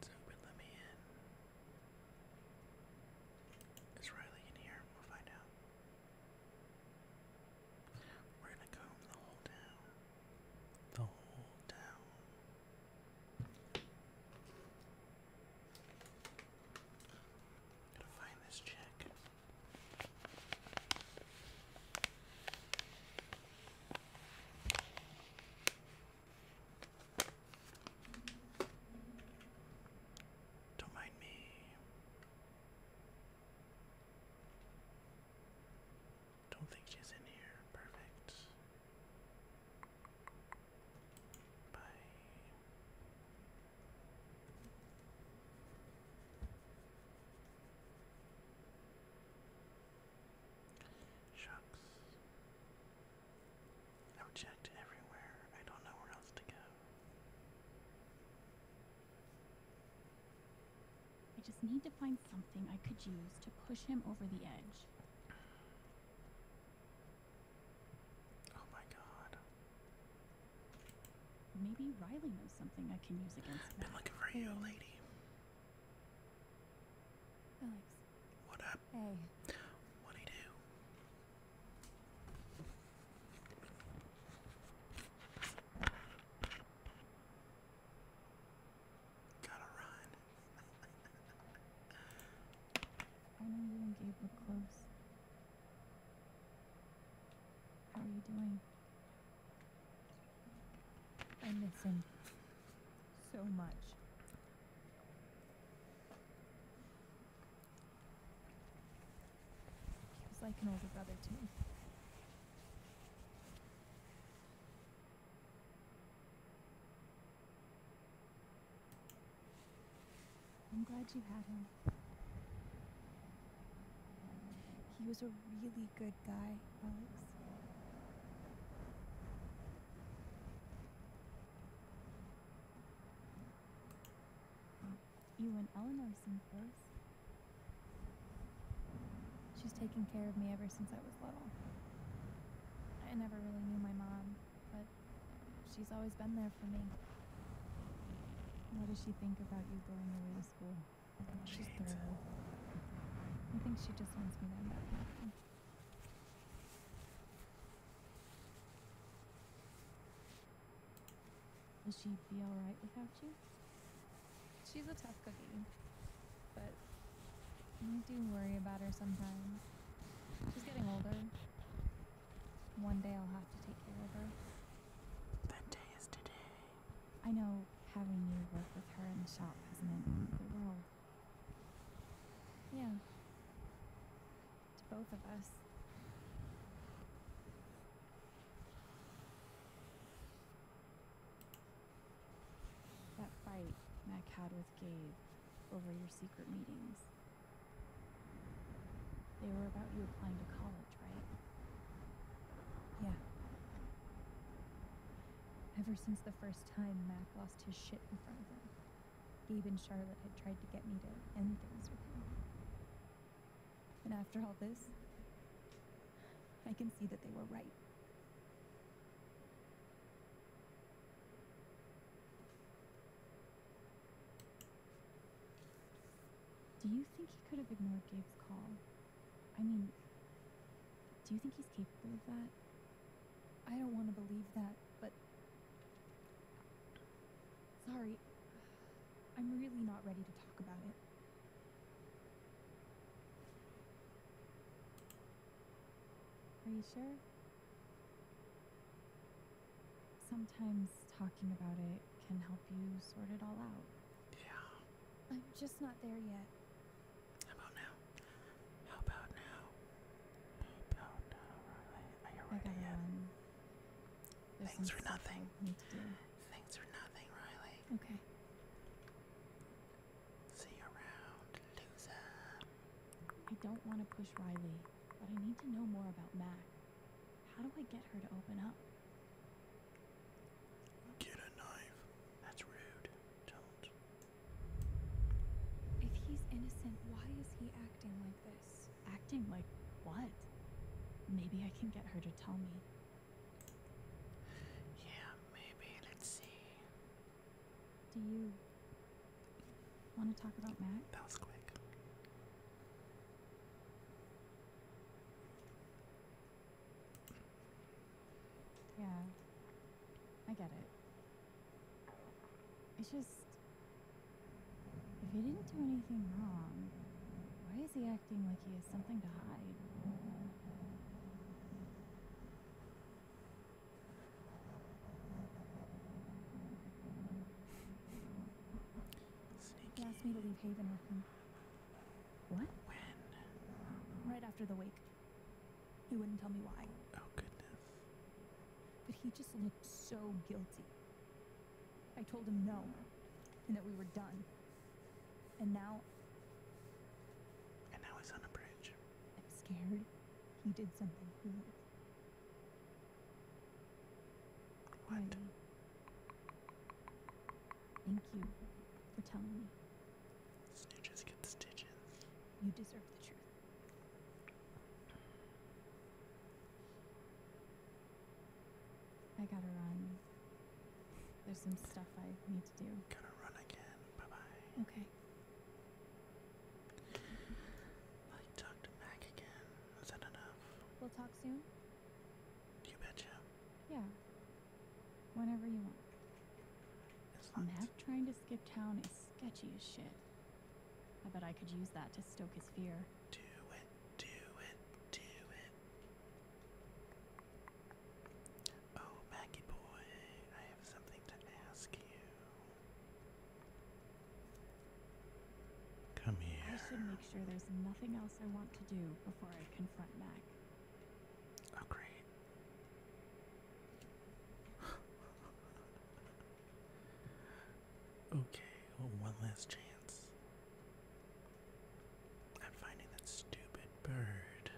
It's open, let me in. Is Riley in here? We'll find out. We're gonna comb the whole town. The whole town. Gotta find this check. Don't mind me. Don't think she's in here. Perfect. Bye. Shucks. I've checked everywhere. I don't know where else to go. I just need to find something I could use to push him over the edge. Oh my god. Maybe Riley knows something I can use against him. Been looking for you, lady. Alex. What up? Hey. What'd he do? Gotta run. I am you and Gabe close. How are you doing? I miss him so much. He was like an older brother to me. I'm glad you had him. He was a really good guy, Alex. You and Eleanor seem close. She's taken care of me ever since I was little. I never really knew my mom, but she's always been there for me. What does she think about you going away to school? She's thorough. I think she just wants me to end up happy. Will she be alright without you? She's a tough cookie, but I do worry about her sometimes. She's getting older. One day I'll have to take care of her. That day is today. I know having you work with her in the shop has not meant the world. Yeah to both of us. That fight Mac had with Gabe over your secret meetings. They were about you applying to college, right? Yeah. Ever since the first time Mac lost his shit in front of him, Gabe and Charlotte had tried to get me to end things with him. And after all this, I can see that they were right. Do you think he could have ignored Gabe's call? I mean, do you think he's capable of that? I don't want to believe that, but Sorry. I'm really not ready to talk about it. Are you sure? Sometimes talking about it can help you sort it all out. Yeah. I'm just not there yet. about now? How about now? How about now? Are you ready yet? This Thanks for nothing. Thanks for nothing, Riley. Okay. See you around, loser. I don't want to push Riley, but I need to know more about Mac. How do I get her to open up? Get a knife. That's rude. Don't. If he's innocent, why is he acting like this? acting like what? Maybe I can get her to tell me. Yeah, maybe. Let's see. Do you want to talk about Mac? That was quick. Yeah, I get it. It's just. If he didn't do anything wrong, why is he acting like he has something to hide? He asked me to leave Haven with him. What? When? Right after the wake. He wouldn't tell me why. Oh, goodness. But he just looked so guilty. I told him no, and that we were done. And now. And now he's on a bridge. I'm scared he did something What? Thank you for telling me. Snitches get stitches. You deserve the truth. I gotta run. There's some stuff I need to do. Gotta run again. Bye bye. Okay. I'll to Mac again. Is that enough? We'll talk soon? You betcha. Yeah. Whenever you want. As Mac trying to skip town is sketchy as shit. I bet I could use that to stoke his fear. Do it, do it, do it. Oh, Maggie boy, I have something to ask you. Come here. I should make sure there's nothing else I want to do before I confront Mac. Oh, great. Okay, well, one last chance. I'm finding that stupid bird.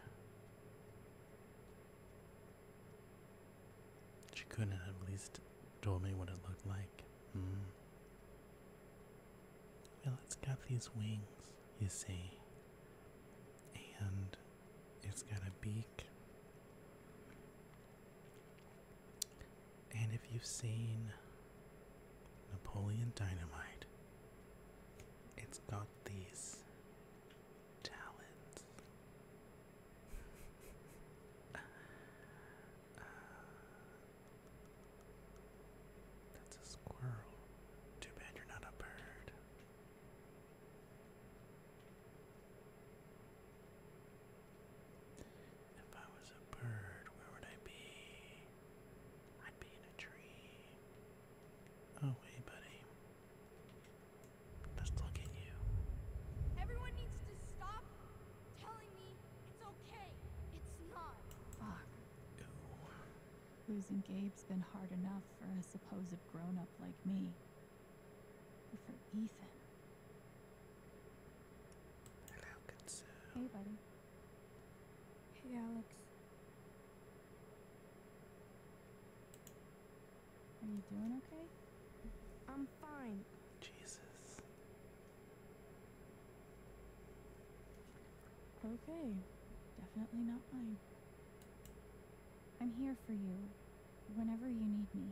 She couldn't have at least told me what it looked like. Hmm. Well, it's got these wings, you see, and it's got a beak. And if you've seen Napoleon Dynamite, it's got these talents. Uh, that's a squirrel. Too bad you're not a bird. If I was a bird, where would I be? I'd be in a tree. Oh, hey, buddy. Just look at you. Everyone needs to stop telling me it's okay. It's not. Fuck. Losing Gabe's been hard enough for a supposed grown up like me. But for Ethan, Hello, good sir. Hey, buddy. Hey, Alex. Are you doing okay? I'm fine. Jesus. Okay. Definitely not mine. I'm here for you whenever you need me.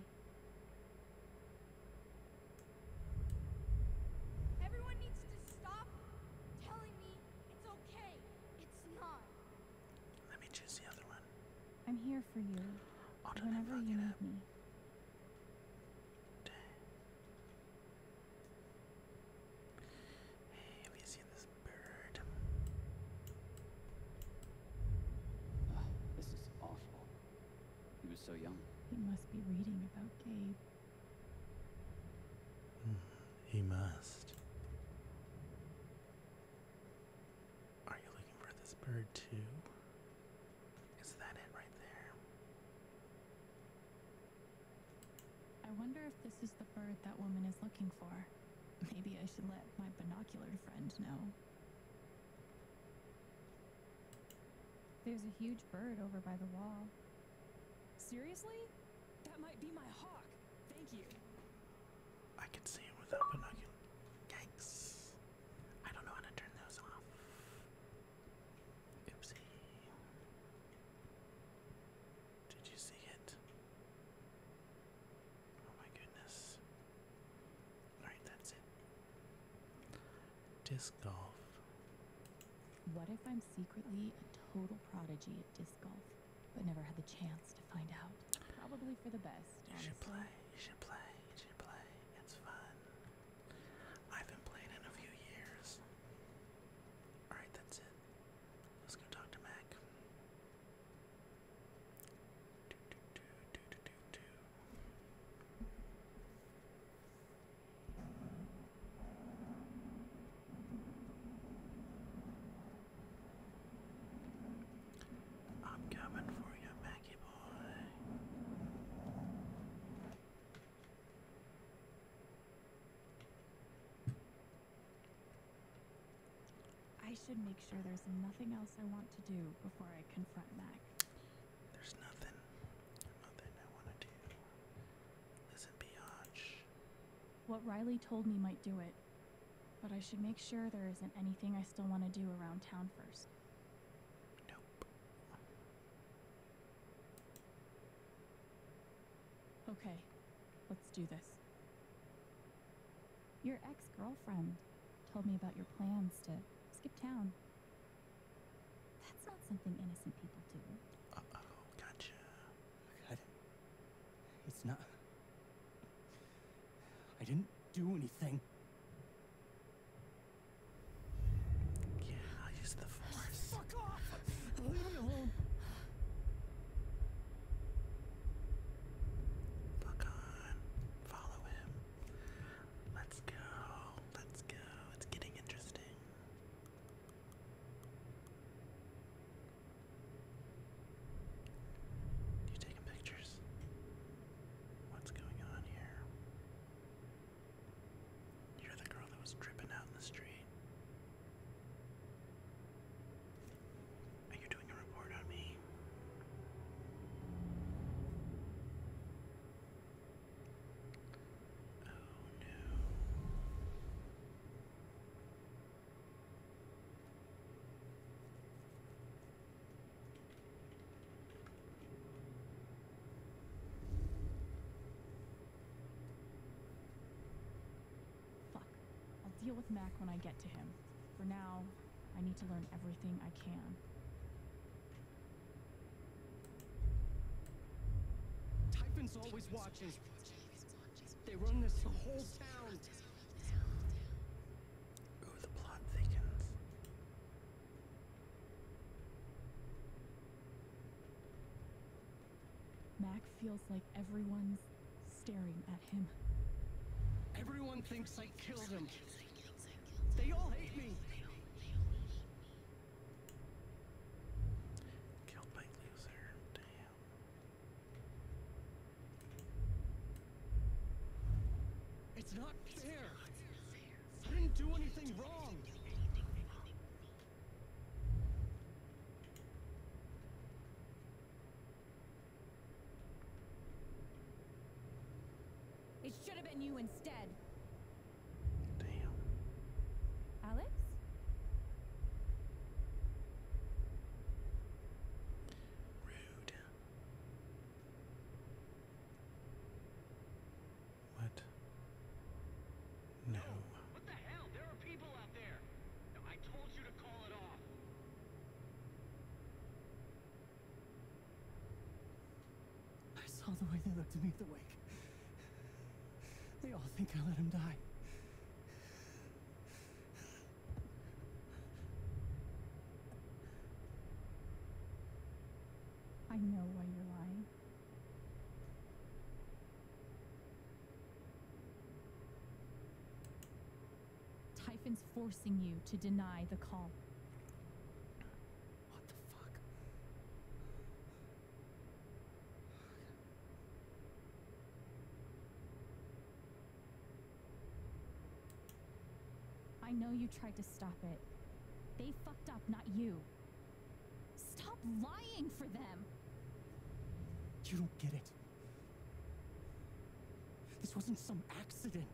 Let me choose the other one. I'm here for you. I'll whenever you need up. me. Hey, have you seen this bird? this is awful. He was so young. He must be reading about Gabe. He must. Are you looking for this bird too? Is that it right there? I wonder if this is the bird that woman is looking for. Maybe I should let my binocular friend know. There's a huge bird over by the wall. Seriously? That might be my hawk. Thank you. I can see it without binoculars. Yikes. I don't know how to turn those off. Oopsie. Did you see it? Oh my goodness. Alright, that's it. Disc golf. What if I'm secretly a total prodigy at disc golf, but never had the chance to find out? Probably for the best. You should play, you should play, you should play. It's fun. I haven't played in a few years. Alright, that's it. Let's go talk to Mac. I'm coming for you, Maggie boy. I should make sure there's nothing else I want to do before I confront Mac. There's nothing, nothing I want to do. Listen, biatch. What Riley told me might do it, but I should make sure there isn't anything I still want to do around town first. Nope. Okay, let's do this. Your ex girlfriend told me about your plans to skip town. That's not something innocent people do. oh, gotcha. It's not. I didn't do anything. Yeah, i use the force. Fuck off! Leave me alone. Fuck on. Follow him. Let's go. Let's go. It's getting interesting. You taking pictures? What's going on here? You're the girl that was tripping out in the street. Are you doing a report on me? Oh no. Fuck. I'll deal with Mac when I get to him. For now, I need to learn everything I can. Typhon's always watching. They run this whole town. Ooh, the plot thickens. Mac feels like everyone's staring at him. Everyone thinks I killed him. They all hate me. Killed by loser. Damn. It's not fair. I didn't do anything wrong. It should have been you instead. Damn. Alex? Rude. What? No. what the hell? There are people out there. I told you to call it off. I saw the way they looked at me at the wake. They all think I let him die. I know why you're lying. Typhon's forcing you to deny the call. I know you tried to stop it. They fucked up, not you. Stop lying for them! You don't get it. This wasn't some accident.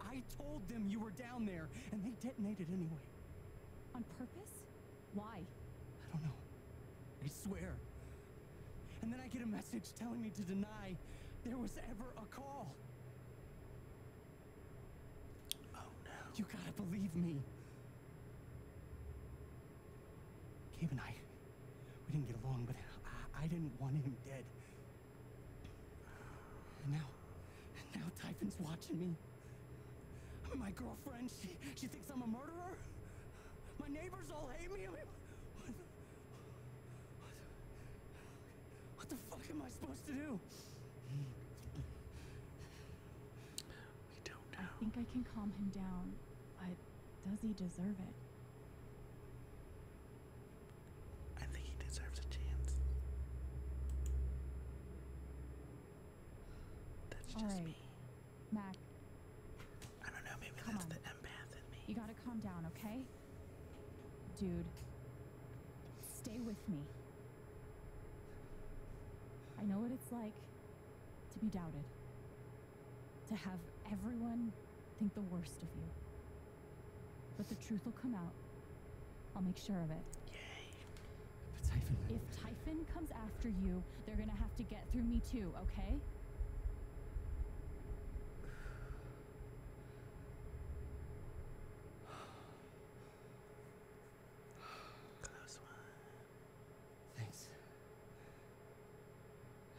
I told them you were down there, and they detonated anyway. On purpose? Why? I don't know. I swear. And then I get a message telling me to deny there was ever a call. Oh no. You gotta believe me. Gabe and I, we didn't get along, but I didn't want him dead now, now Typhon's watching me. My girlfriend, she, she thinks I'm a murderer. My neighbors all hate me. I mean, what, the, what the fuck am I supposed to do? We don't know. I think I can calm him down, but does he deserve it? I think he deserves a chance. That's just me. Mac. I don't know, maybe Come that's on. the empath in me. You gotta calm down, okay? Dude, stay with me. I know what it's like to be doubted, to have everyone think the worst of you. But the truth will come out. I'll make sure of it. Yay. If Typhon comes after you, they're gonna have to get through me too, okay? Close one. Thanks.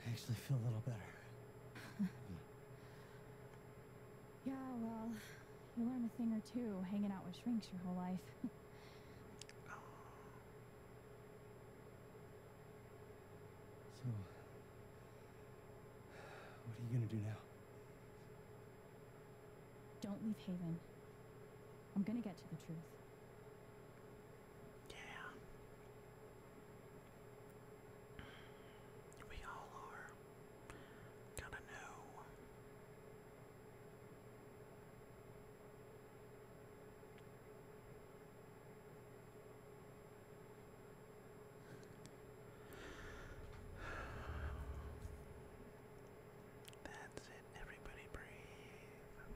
I actually feel a little better. Hmm. Yeah, well, you learn a thing or two hanging out with shrinks your whole life. So, what are you gonna do now? Don't leave Haven. I'm gonna get to the truth. Yeah. We all are. Gotta know. That's it, everybody breathe.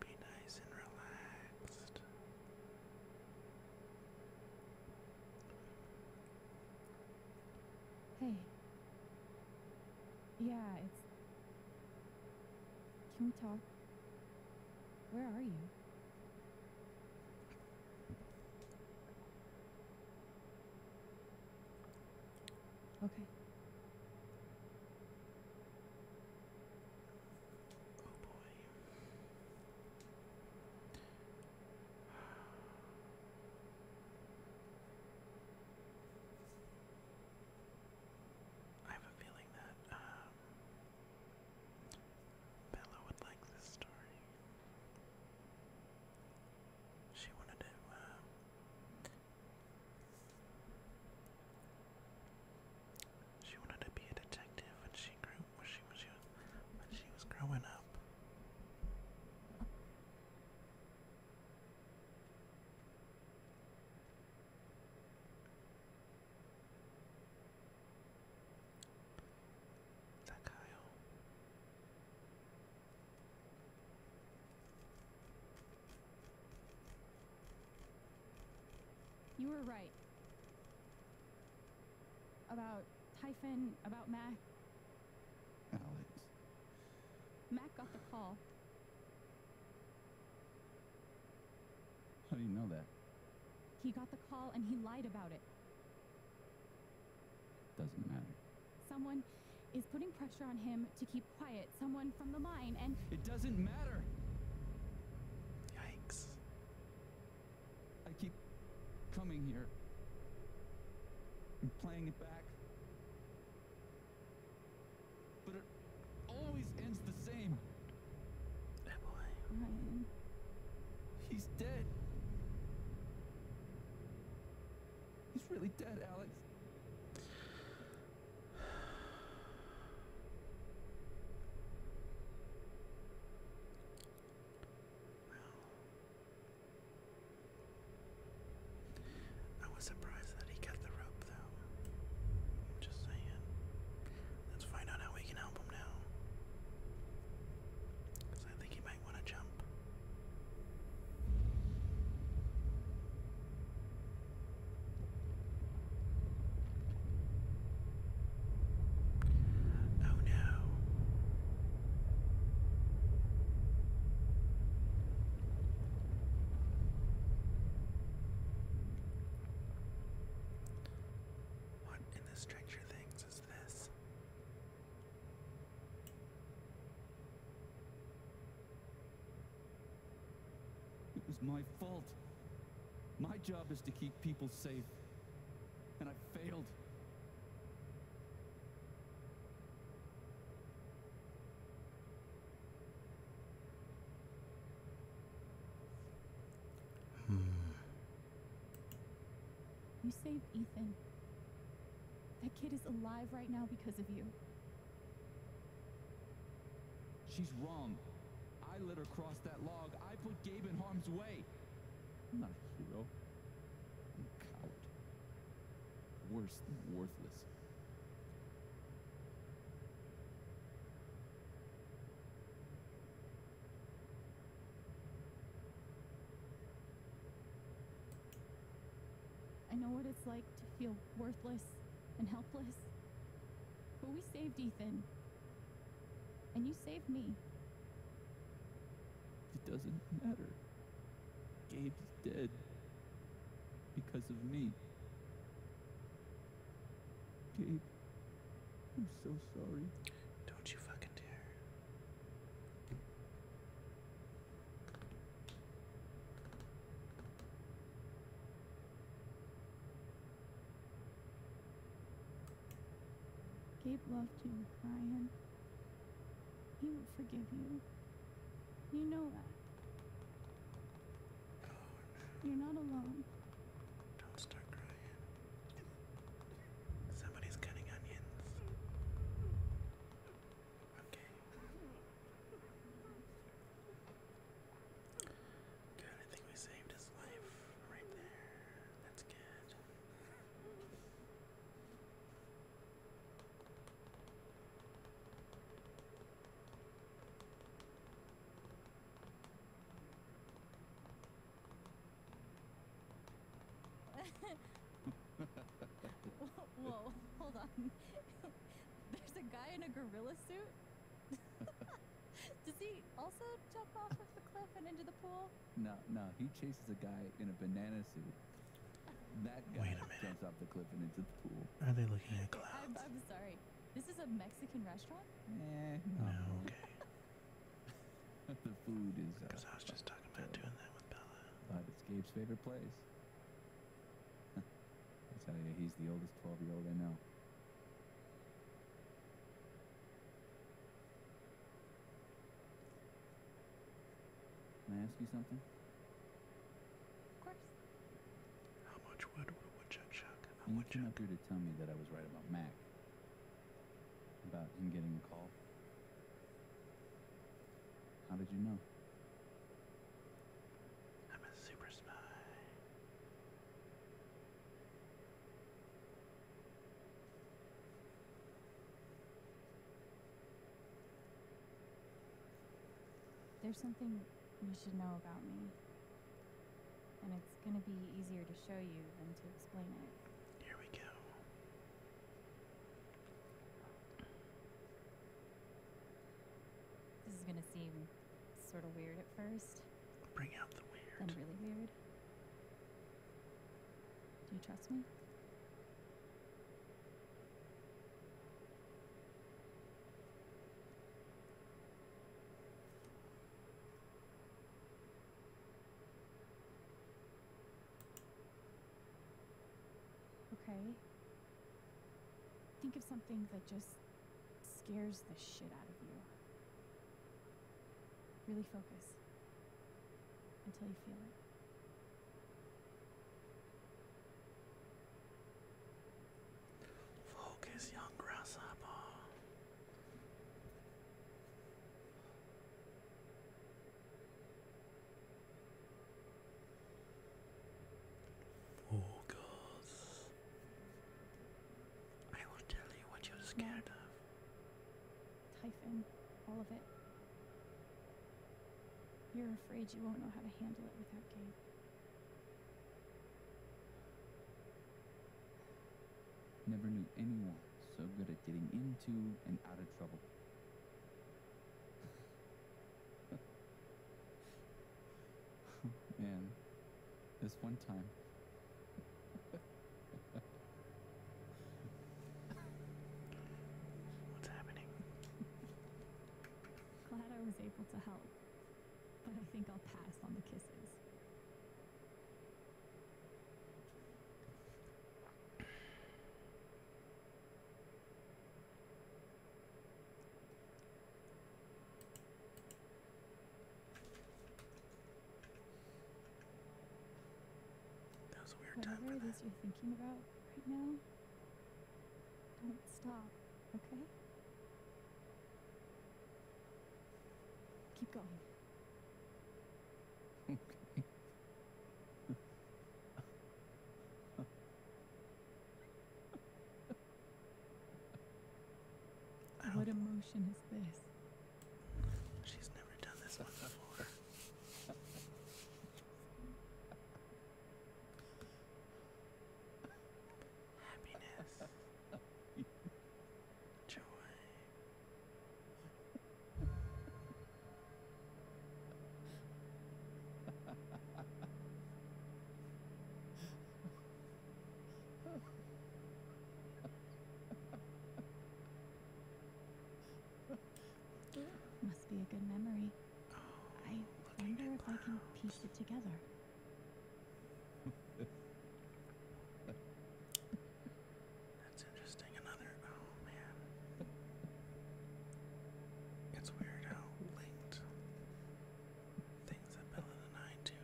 Be nice and relaxed. Hey. Yeah, it's. Can we talk? Where are you? Okay. Oh boy. I have a feeling that um, Bella would like this story. She wanted to. Uh, she wanted to be a detective when she grew when she was young. But she was growing up. Is You were right. About Typhon, about Mac. Alex. Mac got the call. How do you know that? He got the call and he lied about it. Doesn't matter. Someone is putting pressure on him to keep quiet. Someone from the mine and. It doesn't matter! Yikes. I keep coming here and playing it back. But it always ends the same. Oh boy. Ryan. He's dead. He's really dead, Alex. Well, I was surprised that he got the rope, though. just saying. Let's find out how we can help him now. Because I think he might want to jump. Oh no. What in the Stranger Things is this? It was my fault. My job is to keep people safe and I failed. You saved Ethan. That kid is alive right now because of you. She's wrong. I let her cross that log. I put Gabe in harm's way. I'm not a hero and Worse than worthless. I know what it's like to feel worthless and helpless. But we saved Ethan. And you saved me. It doesn't matter. Gabe's dead because of me. Gabe, I'm so sorry. Don't you fucking dare. Gabe loved you, Ryan. He will forgive you. You know that. no. You're not alone. Don't start crying. Somebody's cutting onions. Okay. Good, I think we saved his life right there. That's good. Whoa, hold on. There's a guy in a gorilla suit? Does he also jump off of the cliff and into the pool? No, no, he chases a guy in a banana suit. That guy jumps off Are they looking at clouds? I'm, sorry. This is a Mexican restaurant? Eh, no. okay. the food is. Because uh, I was just talking about doing that with Bella. But it's Gabe's favorite place. I tell you, he's the oldest 12 year old I know. Can I ask you something? Of course. How much wood would a woodchuck chuck? How and you came up here to tell me that I was right about Mac. About him getting the call. How did you know? I'm a super spy. There's something you should know about me. And it's gonna be easier to show you than to explain it. Here we go. This is gonna seem sort of weird at first. Bring out the weird. And really weird. Do you trust me? Okay. Think of something that just scares the shit out of you. Really focus until you feel it. Focus, young grasshopper. Focus. I will tell you what you're scared of. Typhon, all of it. You're afraid you won't know how to handle it without Gabe. Never knew anyone so good at getting into and out of trouble. Man, this one time. What's happening? Glad I was able to help, but I think I'll pass on the kisses. Whatever it is you're thinking about right now, don't stop, okay? Keep going. Okay. What emotion is this? She's never done this one before. Happiness. Joy. Must be a good memory. I wonder if I can piece it together. That's interesting. Another. Oh man. It's weird how linked things that Bella and I do.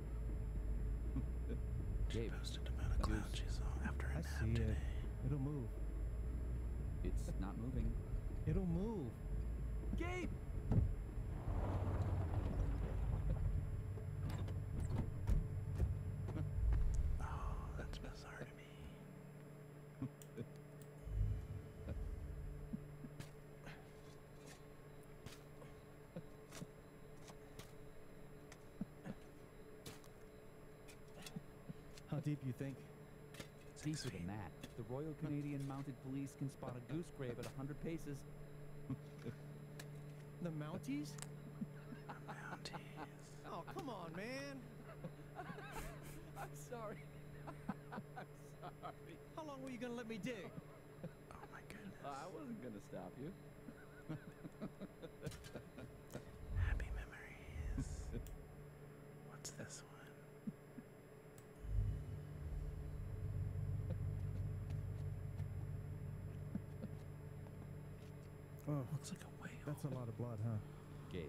She posted about a cloud she saw after I nap today. It. It'll move. It's not moving. It'll move. Gabe! oh, that's bizarre to me. How deep you think? Deeper than that. The Royal Canadian Mounted Police can spot a goose grave at 100 paces. the Mounties? The Mounties. oh, come on, man. I'm sorry. I'm sorry. How long were you going to let me dig? Oh my goodness. I wasn't gonna stop you. Happy memories. What's this one? Oh, looks like a whale. That's a lot of blood, huh? Gabe,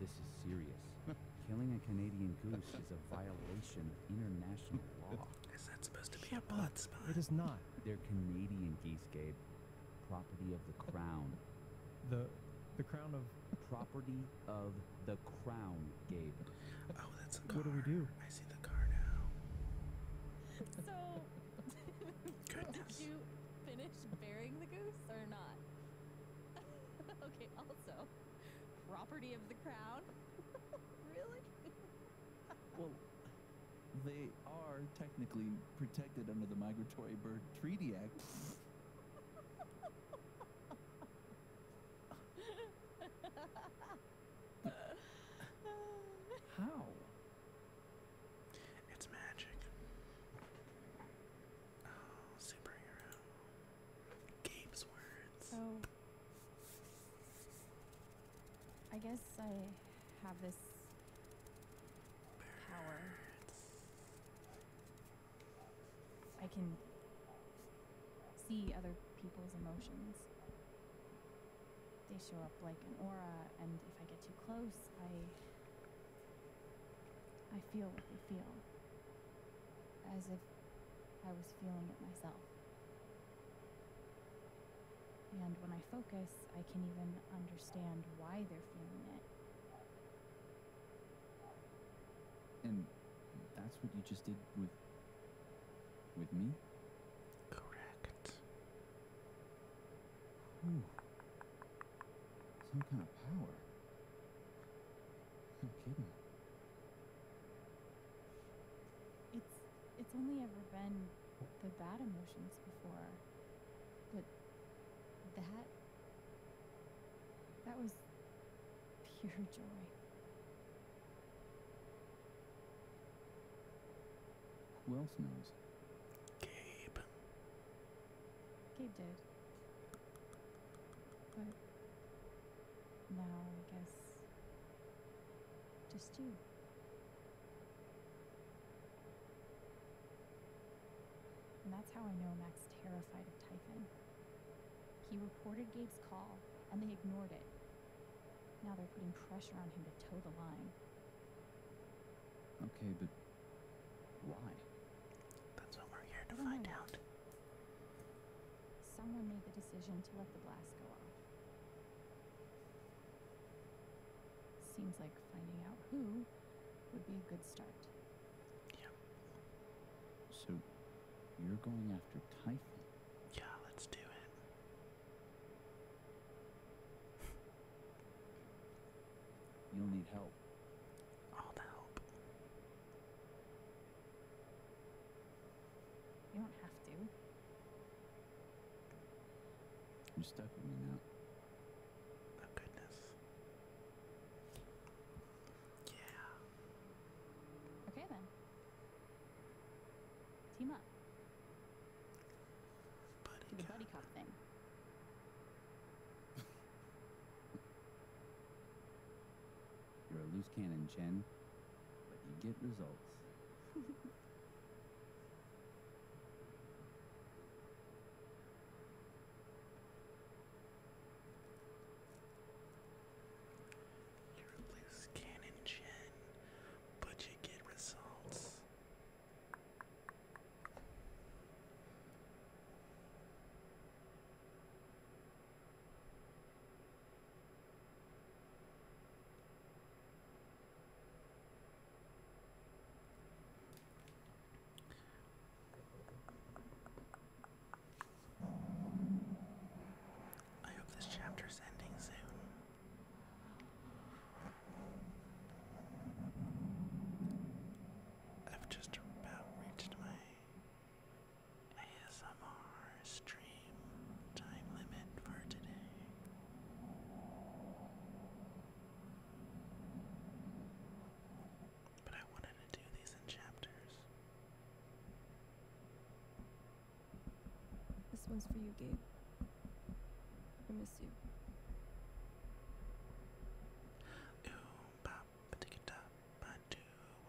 this is serious. Killing a Canadian goose is a violation of international law. Is that supposed to be a blood spot? It is not. They're Canadian Geescape, property of the crown. The the crown of property of the crown, Gabe. Oh, that's a car. What do we do? I see the car now. So, did you finish burying the goose or not? okay, also, property of the crown? really? They are technically protected under the Migratory Bird Treaty Act. How? It's magic. Oh, superhero. Gabe's words. Oh. I guess I have this power. I can see other people's emotions. They show up like an aura, and if I get too close, I I feel what they feel. As if I was feeling it myself. And when I focus, I can even understand why they're feeling it. And that's what you just did with with me? Correct. Ooh. Some kind of power. No kidding. It's it's only ever been the bad emotions before. But that that was pure joy. Who else knows? Gabe. Gabe did. But now I guess just you. And that's how I know Mac's terrified of Typhon. He reported Gabe's call, and they ignored it. Now they're putting pressure on him to toe the line. Okay, but why? That's what we're here to find out. Someone made the decision to let the blast go off. Seems like finding out who would be a good start. Yeah. So you're going after Typhon? Yeah, let's do it. You'll need help. All the help. You don't have to. You're stuck with me now. Oh goodness. Yeah. Okay then. Team up. Do the buddy cop thing. You're a loose cannon, Chen, but you get results. You replace cannon gen, but you get results. I hope this chapter is ending soon. I've just about reached my ASMR stream time limit for today. But I wanted to do these in chapters. This one's for you, Gabe. I miss you. Ooh, pop, tick top, I do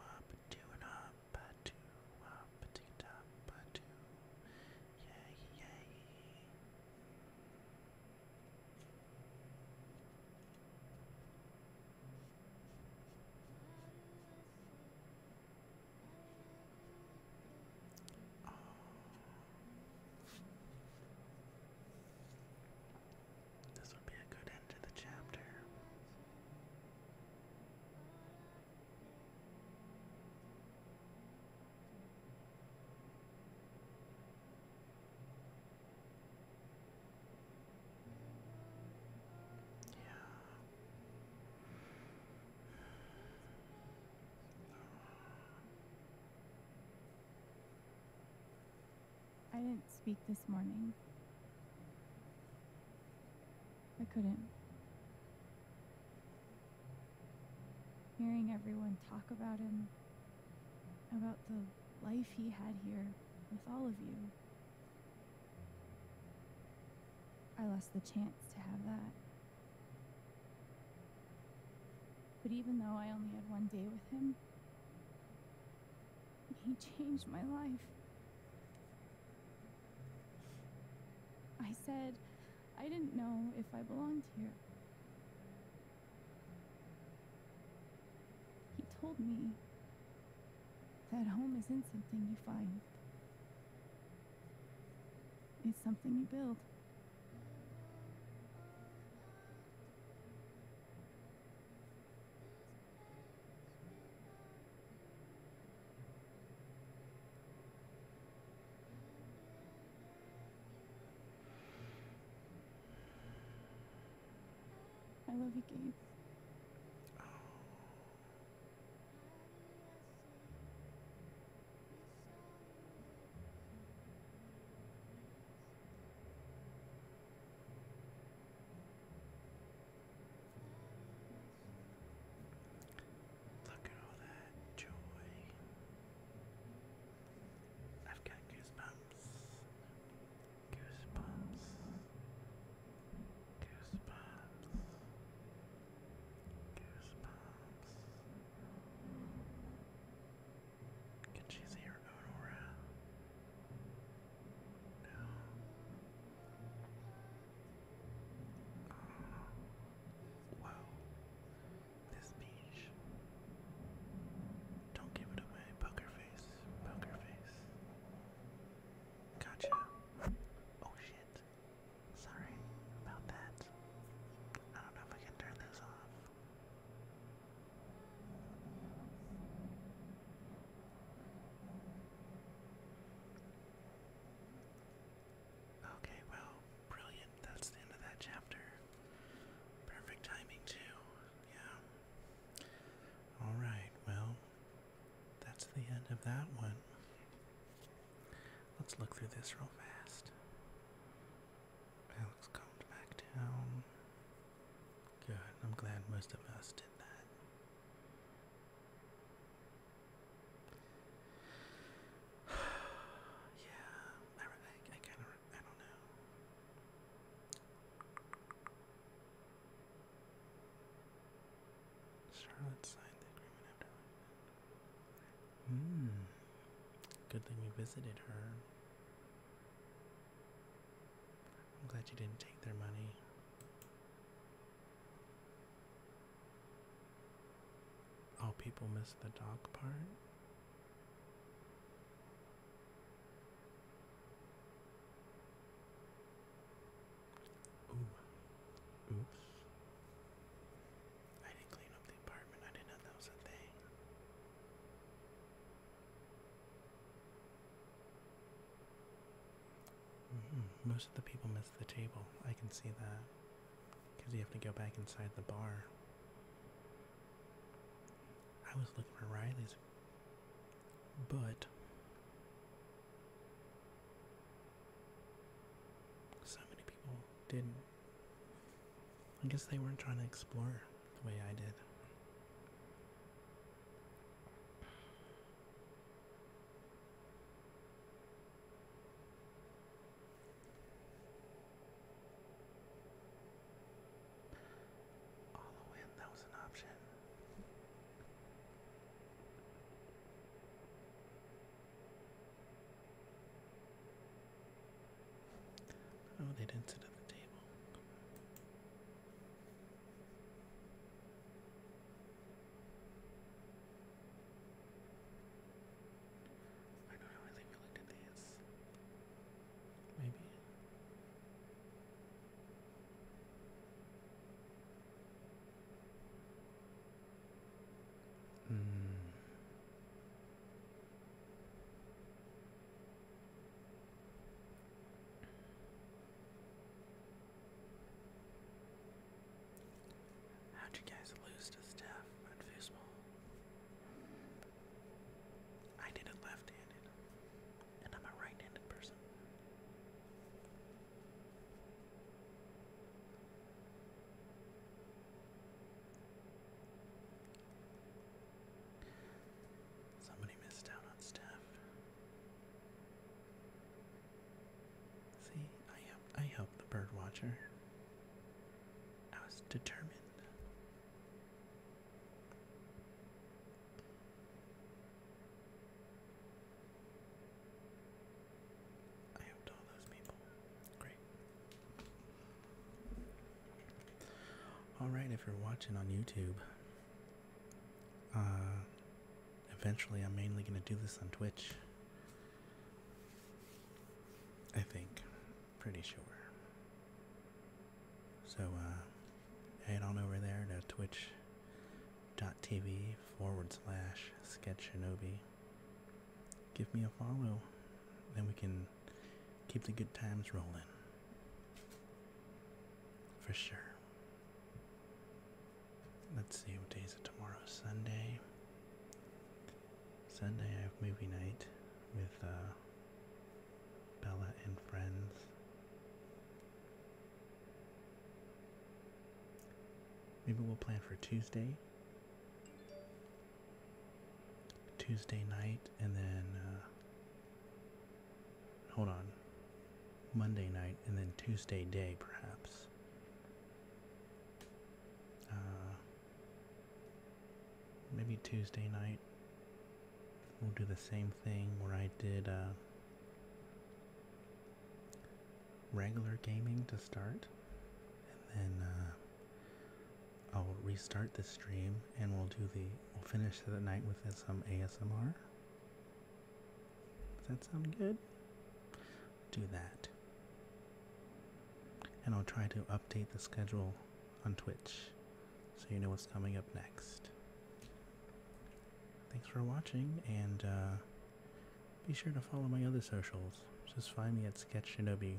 up, do it up, do up, tick top, do. This would be a good end to the chapter. Yeah. I didn't speak this morning. I couldn't hearing everyone talk about him, about the life he had here with all of you. I lost the chance to have that. But even though I only had one day with him, he changed my life. I said, I didn't know if I belonged here. He told me that home isn't something you find, it's something you build. I love you, Gabe. Look at all that joy. I've got goosebumps. Goosebumps. Goosebumps. Goosebumps. Can she see her own aura? No. Oh. Whoa this beach. Don't give it away, poker face, poker face. Gotcha. Oh shit. Sorry about that. I don't know if I can turn this off. Okay, well, brilliant. That's the end of that chapter. Perfect timing, too. Yeah. Alright, well, that's the end of that one. Let's look through this real fast. Alex calmed back down. Good, I'm glad most of us did that. yeah, I, I, kind of, I don't know. Charlotte signed the agreement after. Hmm. Good thing we visited her. I'm glad you didn't take their money. Oh, people miss the dog part. Ooh. Oops. I didn't clean up the apartment. I didn't know that was a thing. Mm-hmm. Most of the people miss the table. I can see that. Because you have to go back inside the bar. I was looking for Riley's, but so many people didn't. I guess they weren't trying to explore the way I did. All in, that was an option. Oh, they didn't sit at the table. I don't know, I think we looked at this. Maybe. Mm. How'd you guys lose to staff at foosball? I did it left-handed, and I'm a right-handed person. Somebody missed out on staff. See, I help I help the bird watcher. I was determined. I helped all those people. Great. Alright, if you're watching on YouTube, uh, eventually I'm mainly going to do this on Twitch. I think. Pretty sure. So, uh, head on over there to TV forward slash sketchshinobi. Give me a follow, then we can keep the good times rolling. For sure. Let's see what day is it tomorrow? Sunday. Sunday I have movie night with uh, Bella and friends. Maybe we'll plan for Tuesday. Tuesday night and then uh, hold on. Monday night and then Tuesday day perhaps. Uh, Maybe Tuesday night we'll do the same thing where I did uh, regular gaming to start, and then uh, I'll restart the stream and we'll do the we'll finish the night with some ASMR. Does that sound good? do that. And I'll try to update the schedule on Twitch so you know what's coming up next. Thanks for watching, and uh, be sure to follow my other socials. Just find me at Sketch Shinobi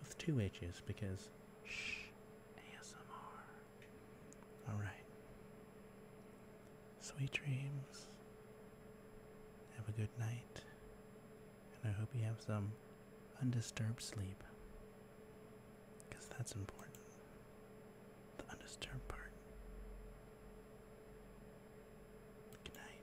with two H's because shh, ASMR. Alright. Sweet dreams. Have a good night and I hope you have some undisturbed sleep because that's important. The undisturbed part. Good night.